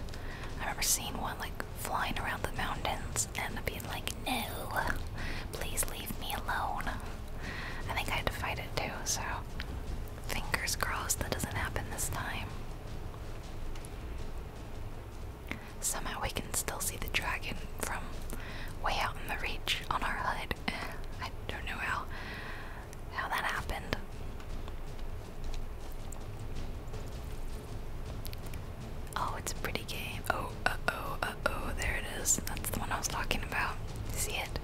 I remember seeing one like flying around the mountains and being like, no, please leave me alone. I think I had to fight it too, so fingers crossed that doesn't happen this time. Somehow we can still see the dragon from way out in the reach on our HUD. I don't know how how that happened. Oh, it's a pretty game. Oh, oh, oh uh-oh, there it is. That's the one I was talking about. see it?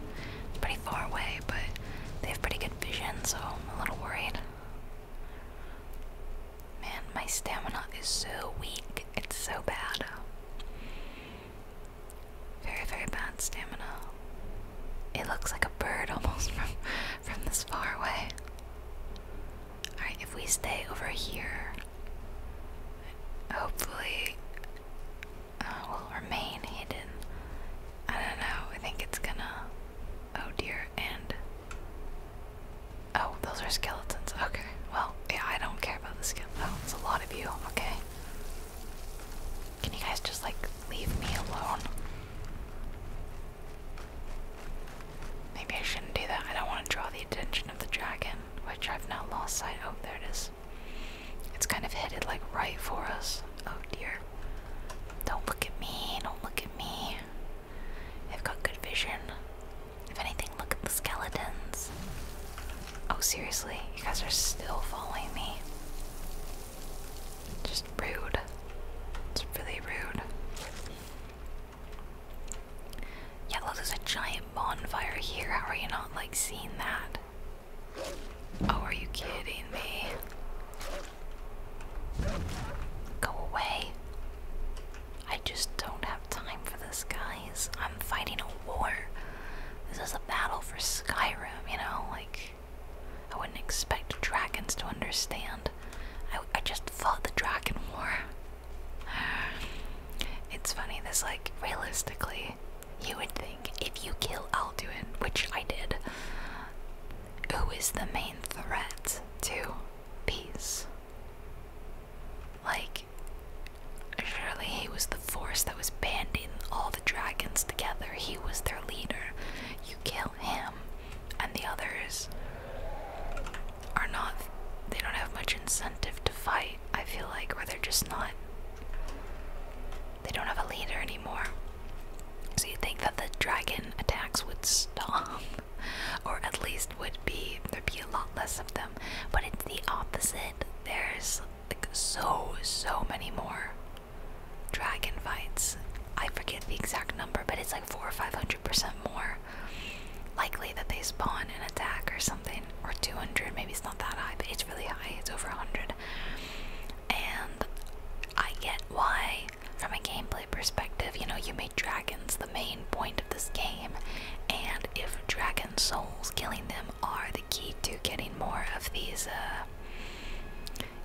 pretty far away, but they have pretty good vision, so I'm a little worried. Man, my stamina is so weak. It's so bad. Very, very bad stamina. It looks like a bird almost from from this far away. Alright, if we stay over here, hopefully uh, we'll remain hidden. I don't know, I think it's gonna. Oh dear, and. Oh, those are skeletons. Okay, well, yeah, I don't care about the skeletons. Oh, it's a lot of you, okay. Can you guys just like leave me alone? Maybe I shouldn't do that. I don't want to draw the attention of the dragon which I've now lost sight. Oh, there it is. It's kind of headed like right for us. Oh dear. Don't look at me. Don't look at me. i have got good vision. If anything, look at the skeletons. Oh, seriously? You guys are still following me. Just rude. It's really rude. Yeah, there's a giant bonfire here. How are you not, like, seeing that? Oh, are you kidding me? Go away. I just don't have time for this, guys. I'm fighting a war. This is a battle for Skyrim, you know? Like, I wouldn't expect dragons to understand. I, I just fought the Dragon War. It's funny, this, like, realistically, you would think if you kill Alduin, which I did, who is the main threat to peace? Like, surely he was the force that was banding all the dragons together. He was their leader. You kill him, and the others are not they don't have much incentive to fight, I feel like, or they're just not they don't have a leader anymore. So you'd think that the dragon attacks would stop, or at least would be there'd be a lot less of them. But it's the opposite. There's like so so many more dragon fights. I forget the exact number, but it's like four or five hundred 100% more likely that they spawn an attack or something, or 200. Maybe it's not that high, but it's really high. It's over 100. And I get why, from a gameplay perspective, you know, you made dragons the main point of this game. And if dragon souls, killing them are the key to getting more of these, uh,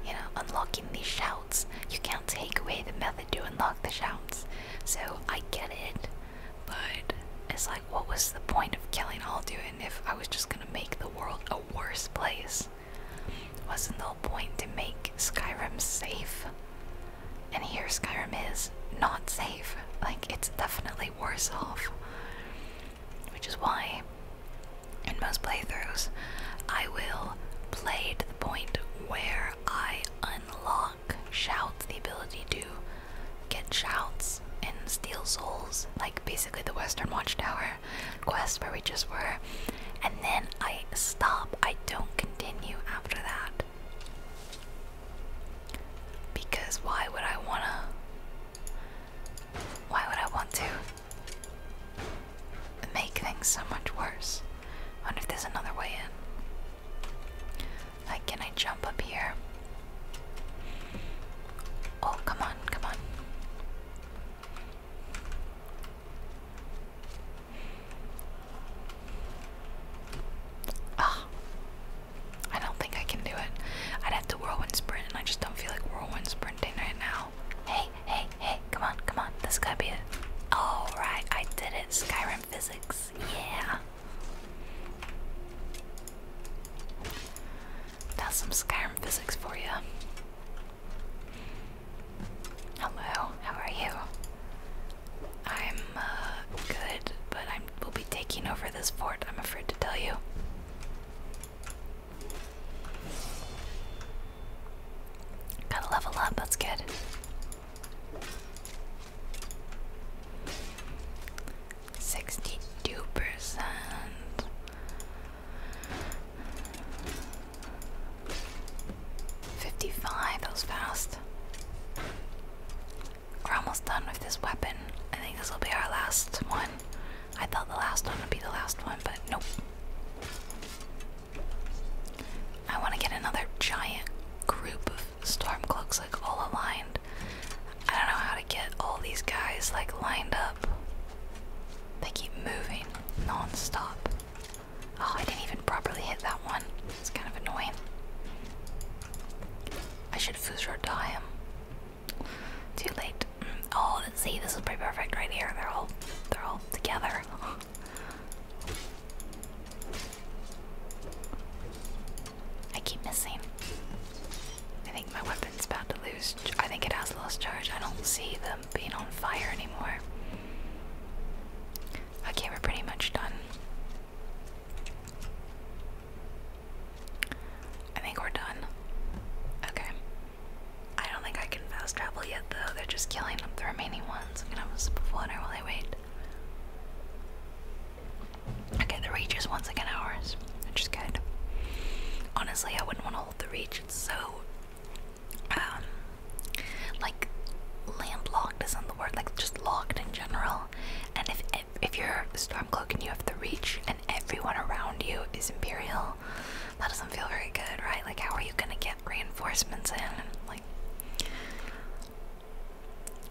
you know, unlocking these shouts, you can't take away the method to unlock the shouts. So I get it. But it's like, what was the point of killing all Alduin if I was just gonna make the world a worse place? Wasn't the whole point to make Skyrim safe? And here Skyrim is not safe. Like, it's definitely worse off. Which is why, in most playthroughs, I will play to the point where I unlock shouts, the ability to get shouts and steal souls, like basically the Western Watchtower quest where we just were. And then I stop, I don't continue after that. Because why would I wanna? Why would I want to make things so much worse? I wonder if there's another way in can I jump up here? Oh, come on, come on. Ah, I don't think I can do it. I'd have to whirlwind sprint, and I just don't feel like whirlwind sprinting right now. Hey, hey, hey, come on, come on. This got be it. Alright, I did it. Skyrim physics. Yeah. That's some Skyrim physics for you. Hello, how are you? I'm uh, good, but I will be taking over this fort, I'm afraid to tell you. Gotta level up, that's good. Sixty-two percent. Fifty-five. That was fast. We're almost done with this weapon. I think this will be our last one. I thought the last one would be the last one, but nope. I want to get another giant group of Stormcloak's like all aligned. I don't know how to get all these guys like lined up. They keep moving non-stop. Oh, I didn't even properly hit that one. It's kind of annoying. I should Fusro die him. Too late. Mm. Oh, let's see, this is pretty perfect right here. They're all they're all together. I keep missing. I think my weapon's about to lose. I think it has lost charge. I don't see them being on fire anymore. Okay, we're pretty much done. I think we're done. Okay. I don't think I can fast travel yet, though. They're just killing up the remaining ones. I'm gonna have a sip of water while I wait. Okay, the reach is once again ours, which is good. Honestly, I wouldn't want to hold the reach. It's so, um, like landlocked isn't the word. Like just locked in general. And if if, you're Stormcloak and you have the reach, and everyone around you is Imperial, that doesn't feel very good, right? Like, how are you gonna get reinforcements in? Like,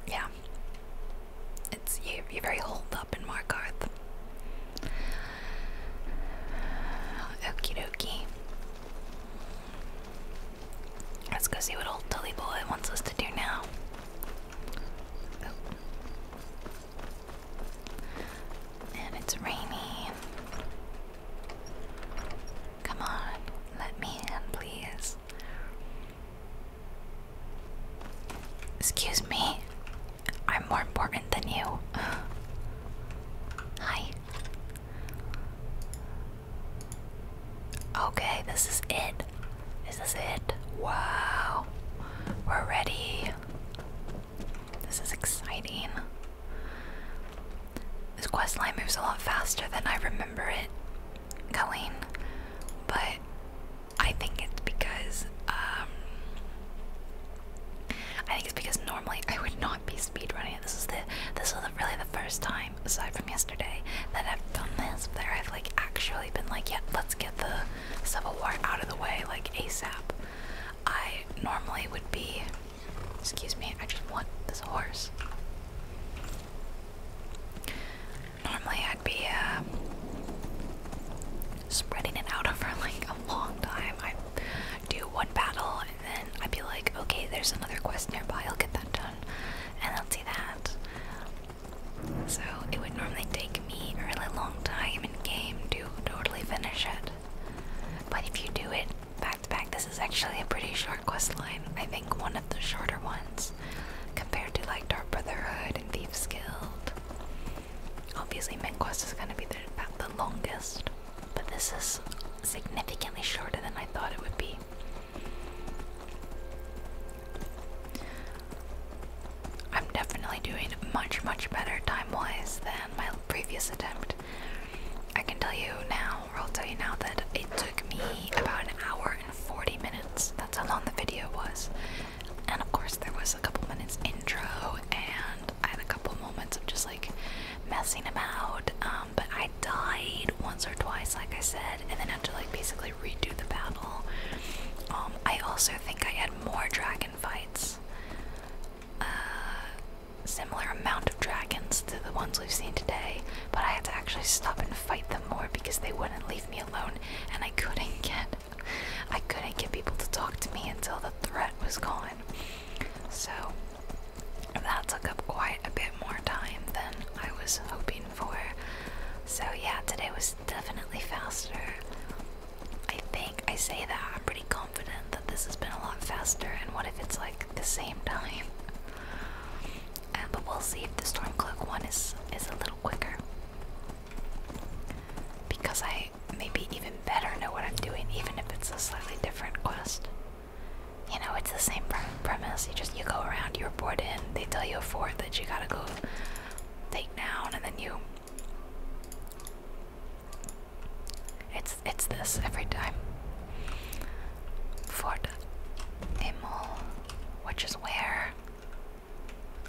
yeah, it's you, you're very holed up in Markarth. Okie dokie. Let's go see what old Tully boy wants us to do now. Oh. And it's raining. Come on, let me in, please. Excuse me. I'm more important than you. Hi. Okay, this is it. Is this it? Wow. We're ready. This is exciting. This quest line moves a lot faster than I remember it going, but I think it's because um, I think it's because normally I would not be speedrunning. This is the this is really the first time aside from yesterday that I've done this. That I've like actually been like, yeah, let's get the Civil War out of the way like ASAP. I normally would be. Excuse me, I just want this horse. Normally I'd be uh, spreading it out over like a long time. I'd do one battle and then I'd be like, okay, there's another quest nearby, I'll get that done. And I'll do that. So it would normally take me a really long time in game to totally finish it. But if you do it back to back, this is actually a pretty short quest line. I think one of the shorter ones compared to like Dark Brotherhood and Thieves Guild. Obviously, MinQuest is going to be the longest, but this is significantly shorter than I thought it would be. I'm definitely doing much, much better time wise than my previous attempt. I can tell you now, or I'll tell you now, that it took me about an hour 40 minutes. That's how long the video was. And of course, there was a couple minutes intro, and I had a couple moments of just like messing about. Um, but I died once or twice, like I said, and then had to like basically redo the battle. Um, I also think I had more dragon fights. Uh, similar amount of dragons to the ones we've seen today, but I had to actually stop and fight them more because they wouldn't leave me alone and I couldn't get I couldn't get people to talk to me until the threat was gone. So that took up quite a bit more time than I was hoping for. So yeah, today was definitely faster. I think I say that I'm pretty confident that this has been a lot faster and what if it's like the same time? Um, but we'll see if the Stormcloak one is is a little quicker. Because I maybe even better know what I'm doing, even if it's a slightly different quest. You know, it's the same premise. You just you go around, you're bored in, they tell you a fort that you gotta go take down, and then you. It's it's this every time. Fort Emil, which is where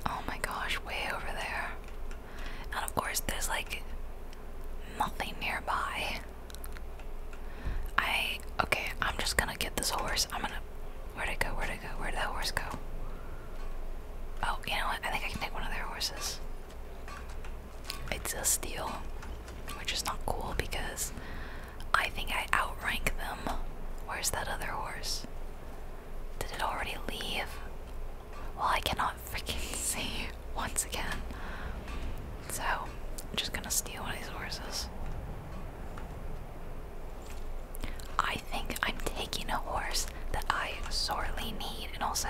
Oh my gosh, way over there. And of course, there's like nothing nearby. I. Okay, I'm just gonna get this horse. I'm gonna. Where'd it go? Where'd it go? Where'd that horse go? Oh, you know what? I think I can take one of their horses. It's a steal, which is not cool because I think I outrank them. Where's that other horse? Did it already leave? Well, I cannot freaking see once again. So, I'm just gonna steal one of these horses. I think I'm taking a horse that I sorely need. And also,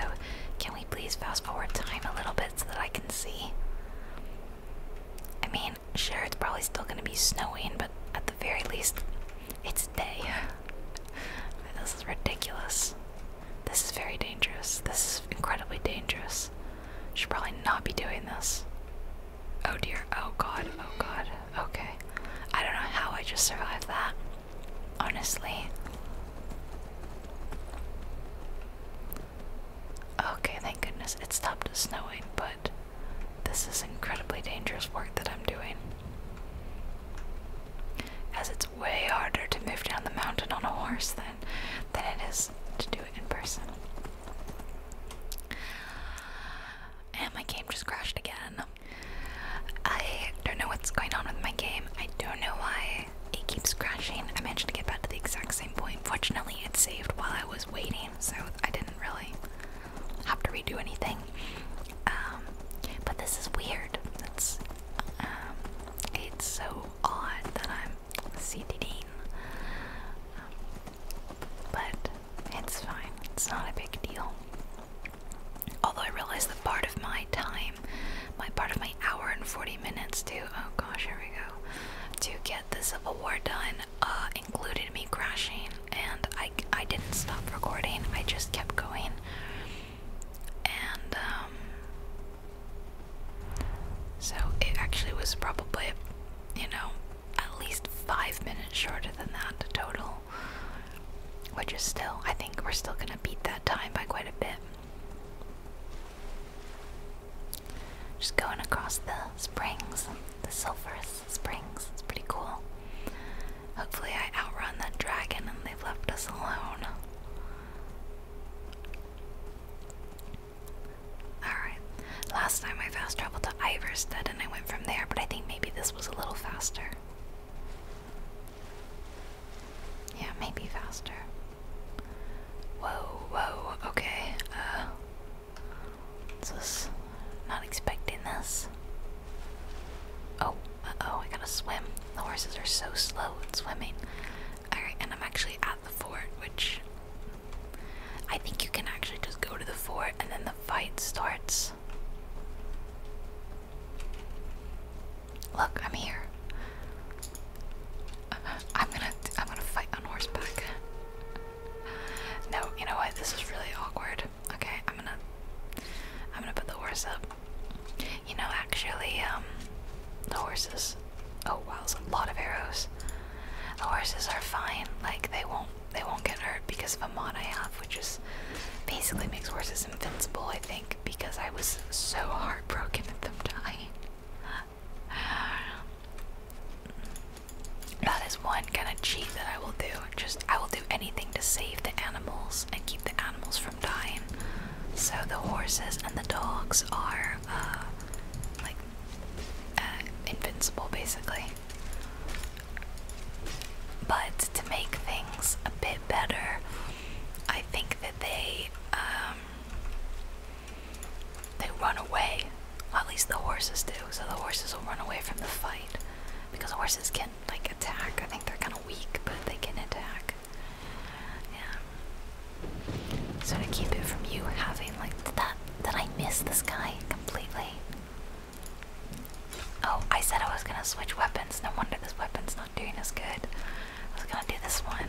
can we please fast forward time a little bit so that I can see? I mean, sure, it's probably still gonna be snowing, but at the very least, it's day. this is ridiculous. This is very dangerous. This is incredibly dangerous. Should probably not be doing this. Oh dear. Oh god. Oh god. Okay. I don't know how I just survived that. Honestly. Okay, thank goodness it stopped snowing, but this is incredibly dangerous work that I'm doing. As it's way harder to move down the mountain on a horse than, than it is to do it in person. And my game just crashed again. I don't know what's going on with my game. I don't know why it keeps crashing. I managed to get back to the exact same point. Fortunately, it saved while I was waiting so I didn't really have to redo anything. Um, but this is weird. It's um, it's so odd that I'm CDDing, um, but it's fine. It's not a big deal. Although I realize that part of my time, my part of my hour and 40 minutes to, oh gosh, here we go, to get the Civil War done uh, included me crashing, and I, I didn't stop recording, I just kept going. And, um, so it actually was probably, you know, at least five minutes shorter than that total, which is still, I think we're still gonna beat that time by quite a bit. Just going across the springs, the sulphurs. Springs. It's pretty cool. Hopefully, I outrun that dragon and they've left us alone. Alright, last time I fast traveled to Iverstead and I went from there, but I think maybe this was a little faster. Yeah, maybe faster. Whoa, whoa, okay. Uh, just not expecting this. Oh, oh, I gotta swim. The horses are so slow at swimming. Alright, and I'm actually at the fort, which I think you can actually just go to the fort and then the fight starts. Look, I'm here. I'm gonna I'm gonna fight on horseback. No, you know what? This is really awkward. Okay, I'm gonna I'm gonna put the horses. up. You know, actually, um the horses oh wow, it's a lot of arrows. The horses are fine, like they won't they won't get hurt because of a mod I have, which just basically makes horses invincible, I think, because I was so heartbroken at them dying. That is one kind of cheat that I will do. Just I will do anything to save the animals and keep the animals from dying. So the horses and the dogs are uh, like uh, invincible, basically. But to make things a bit better, I think that they um, they run away at least the horses do, so the horses will run away from the fight. Because horses can, like, attack. I think they're kind of weak, but they can attack. Yeah. So to keep it from you having, like, did that, did I miss this guy completely? Oh, I said I was gonna switch weapons. No wonder this weapon's not doing as good. I was gonna do this one.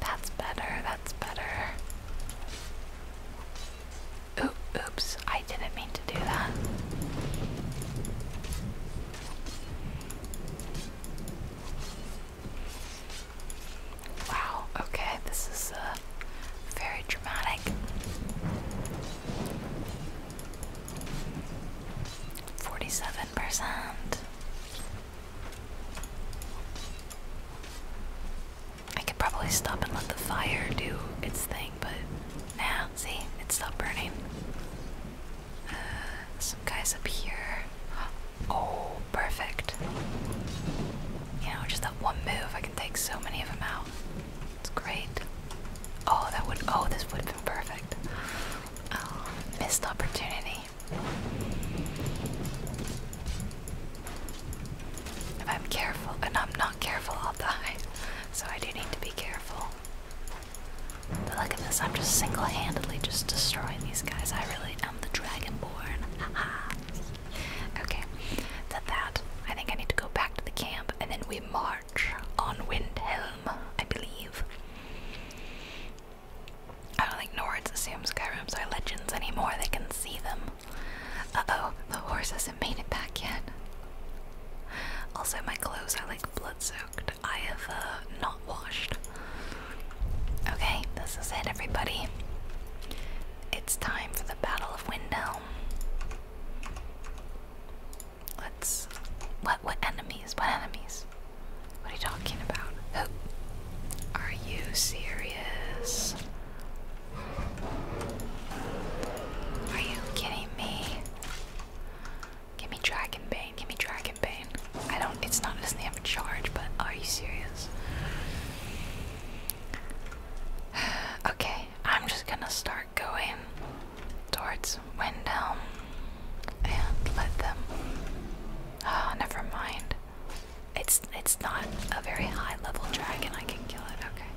That's better, that's better. Oop, oops, I didn't mean to do that. Wow, okay, this is uh, very dramatic. Forty-seven percent. I could probably stop and let the fire do its thing, but nah, see, it's still burning. Uh, some guys up here. Oh, perfect. You know, just that one move, I can take so many of them out. It's great. Oh, that would, oh, this would have been perfect. Oh, missed opportunity. If I'm careful, and I'm not careful, I'll die. So I do need to be careful. But look at this, I'm just single-handedly just destroying these guys. I really am the Dragonborn. Haha. okay, that that. I think I need to go back to the camp, and then we march on Windhelm, I believe. I don't think Nords assume Skyrims are legends anymore. They can see them. Uh-oh, the horse hasn't made it back yet. Also, my clothes are like blood-soaked. I have uh, not washed. Okay, this is it, everybody. It's time for the Battle of Windhelm. Let's. What? What enemies? What enemies? What are you talking about? Are you serious? Are you kidding me? Give me Dragon Bane, give me Dragon Bane. I don't, it's not, it does have a charge, but are you serious? okay, I'm just gonna start going towards Windhelm and let them. Ah, never mind. It's it's not a very high level dragon. I can kill it. Okay.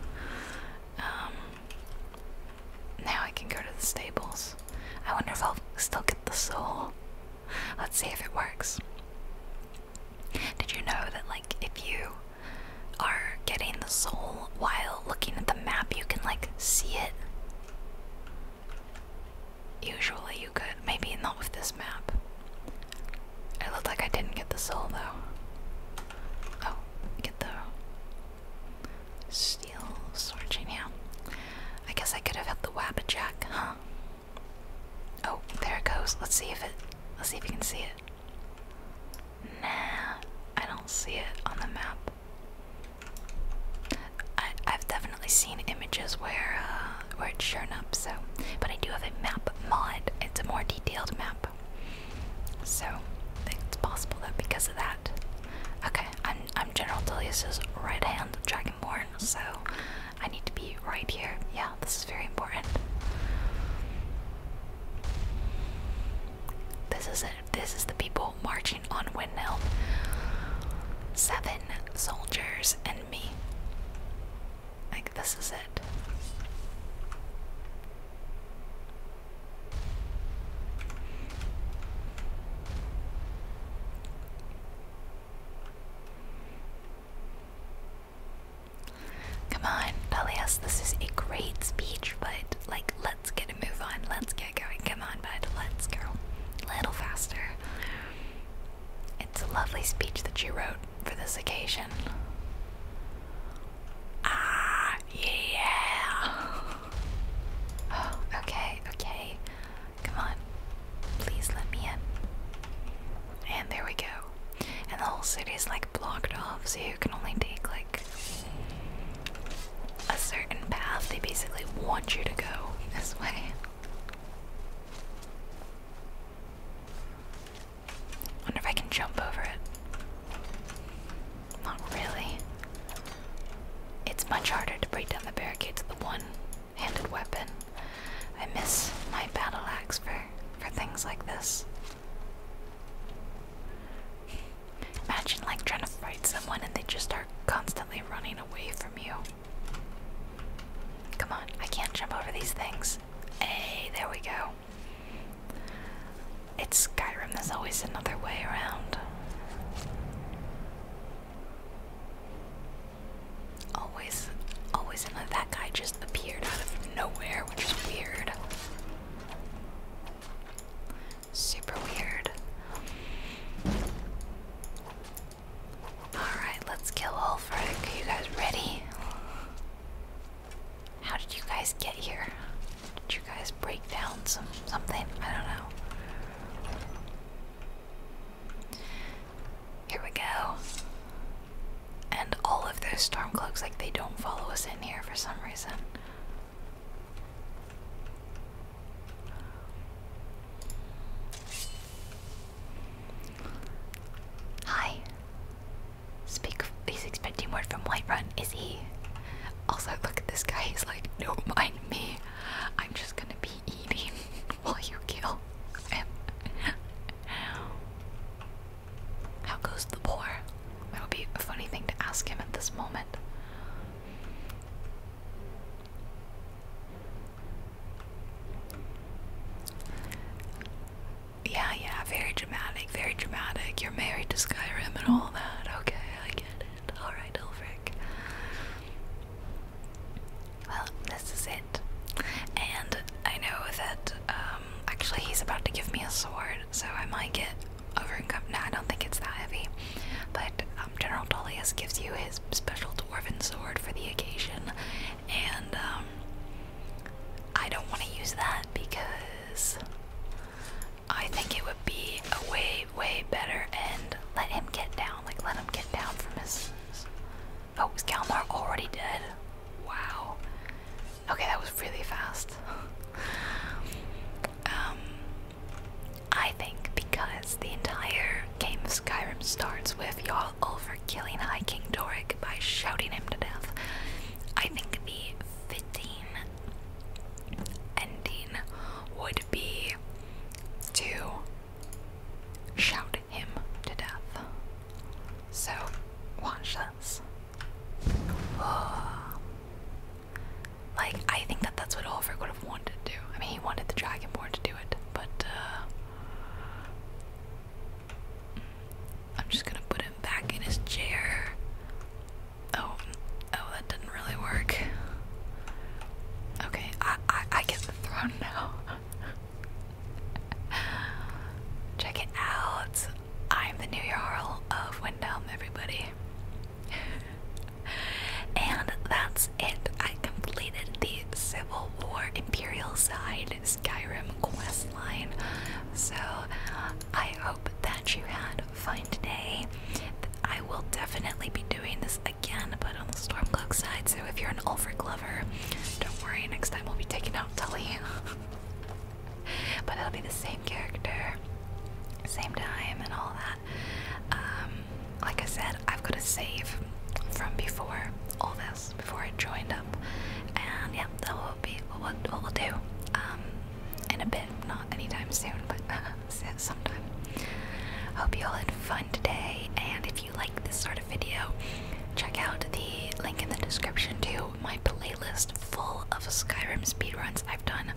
Um. Now I can go to the stables. I wonder if I'll still get the soul. Let's see if it works. Did you know that like if you are getting the soul while looking at the map, you can like see it? Usually you could. Maybe not with this map. It looked like I didn't get the soul though. Oh, get the steel sword chain, I guess I could have had the Wabajack, huh? Oh, there it goes. Let's see if it let's see if you can see it. Nah, I don't see it on the map. I, I've definitely definitely seen images where uh, where it's shown up. So, but I do have a map mod. It's a more detailed map. So I think it's possible that because of that. Okay, I'm I'm General Tullius's right hand dragonborn, so I need to be right here. Yeah, this is very important. This is it. This is the people marching on Windmill. Seven soldiers and me. Like, this is it. Come on, Dalias, this is a great speech, but like, let's get a move on. Let's get going. Come on, bud. Let's go. A little faster. It's a lovely speech that you wrote for this occasion. Ah, yeah. Oh, okay, okay. Come on. Please let me in. And there we go. And the whole city is like blocked off, so you can only take like a certain path. They basically want you to go this way. Wonder if I can jump over it. Not really. It's much harder to break down the barricades with a one-handed weapon. I miss my battle axe for for things like this. Imagine like trying to fight someone and they just are constantly running away from you. Come on, I can't jump over these things. Hey, there we go. It's Skyrim, there's always another way around. Always, always another. That guy just appeared out of nowhere, which is weird. Super weird. Alright, let's kill Ulfric. Are you guys ready? How did you guys get here? Did you guys break down some something? I don't know. Here we go. And all of those stormcloaks, like they don't follow us in here for some reason. Hi. Speak. He's expecting word from Whiterun. Is he? Also, look at this guy. He's like, don't mind me. I'm just gonna be eating while you kill him. How goes the boar? That would be a funny thing to ask him at this moment. Yeah, yeah, very dramatic, very dramatic. You're married to Skyrim and all that. Okay, I get it. Alright, Ulfric. Well, this is it. And I know that, um, actually, he's about to give me a sword, so I might get over and overcome. No, I don't think it's that heavy. But um, General Dolius gives you his special dwarven sword for the occasion, and um, I don't want to use that because I think it would be a way, way better and let him get down. Like, let him get down from his. Oh, is Kalmar already dead? Wow. Okay, that was really fast. um, I think because the entire game of Skyrim starts with y'all over killing High King Doric by shouting him to death. I think the fitting ending would be to shout him to death. So, watch this. Like, I think that that's what Over would have wanted to do. I mean, he wanted the Dragonborn to do it, but uh, I'm just gonna put him back in his chair. Oh, oh, that didn't really work. Okay, I I, I get the throne now. Check it out. I'm the new Jarl of Wyndham, everybody. and that's it. I completed the Civil War Imperial Side Skyrim questline. So I hope that you had a fun day. I will definitely be doing this again, but on the Stormcloak side. So if you're an Ulfric lover, don't worry, next time we'll be taking out Tully. but it'll be the same character, same time, and all that. Um, like I said, I've got to save from before all this before I joined up, and yep, that will be what we'll, do um, in a bit, not anytime soon, but sometime. Hope you all had fun today, and if you like this sort of video, check out the link in the description to my playlist full of Skyrim speedruns. I've done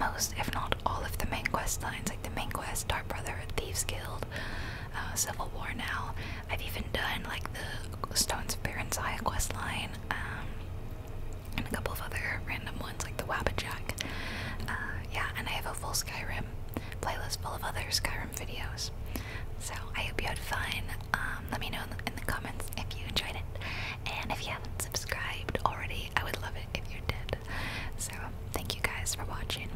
most, if not all, of the main quest lines, like the main quest, Dark Brotherhood, Thieves Guild, uh, Civil War now. I've even done like the Stones of Barentsaya quest line, um, and a couple of other random ones like the Wabajack. Uh, yeah, and I have a full Skyrim playlist full of other Skyrim videos. So I hope you had fun. Um, let me know in the, comments if you enjoyed it, and if you haven't subscribed already, I would love it if you did. So thank you you guys for watching.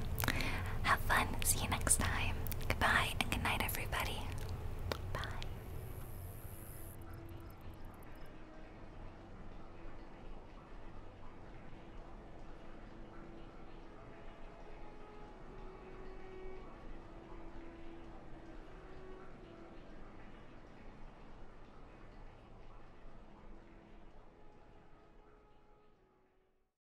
Have fun. See you next time. Goodbye and good night, everybody. Bye.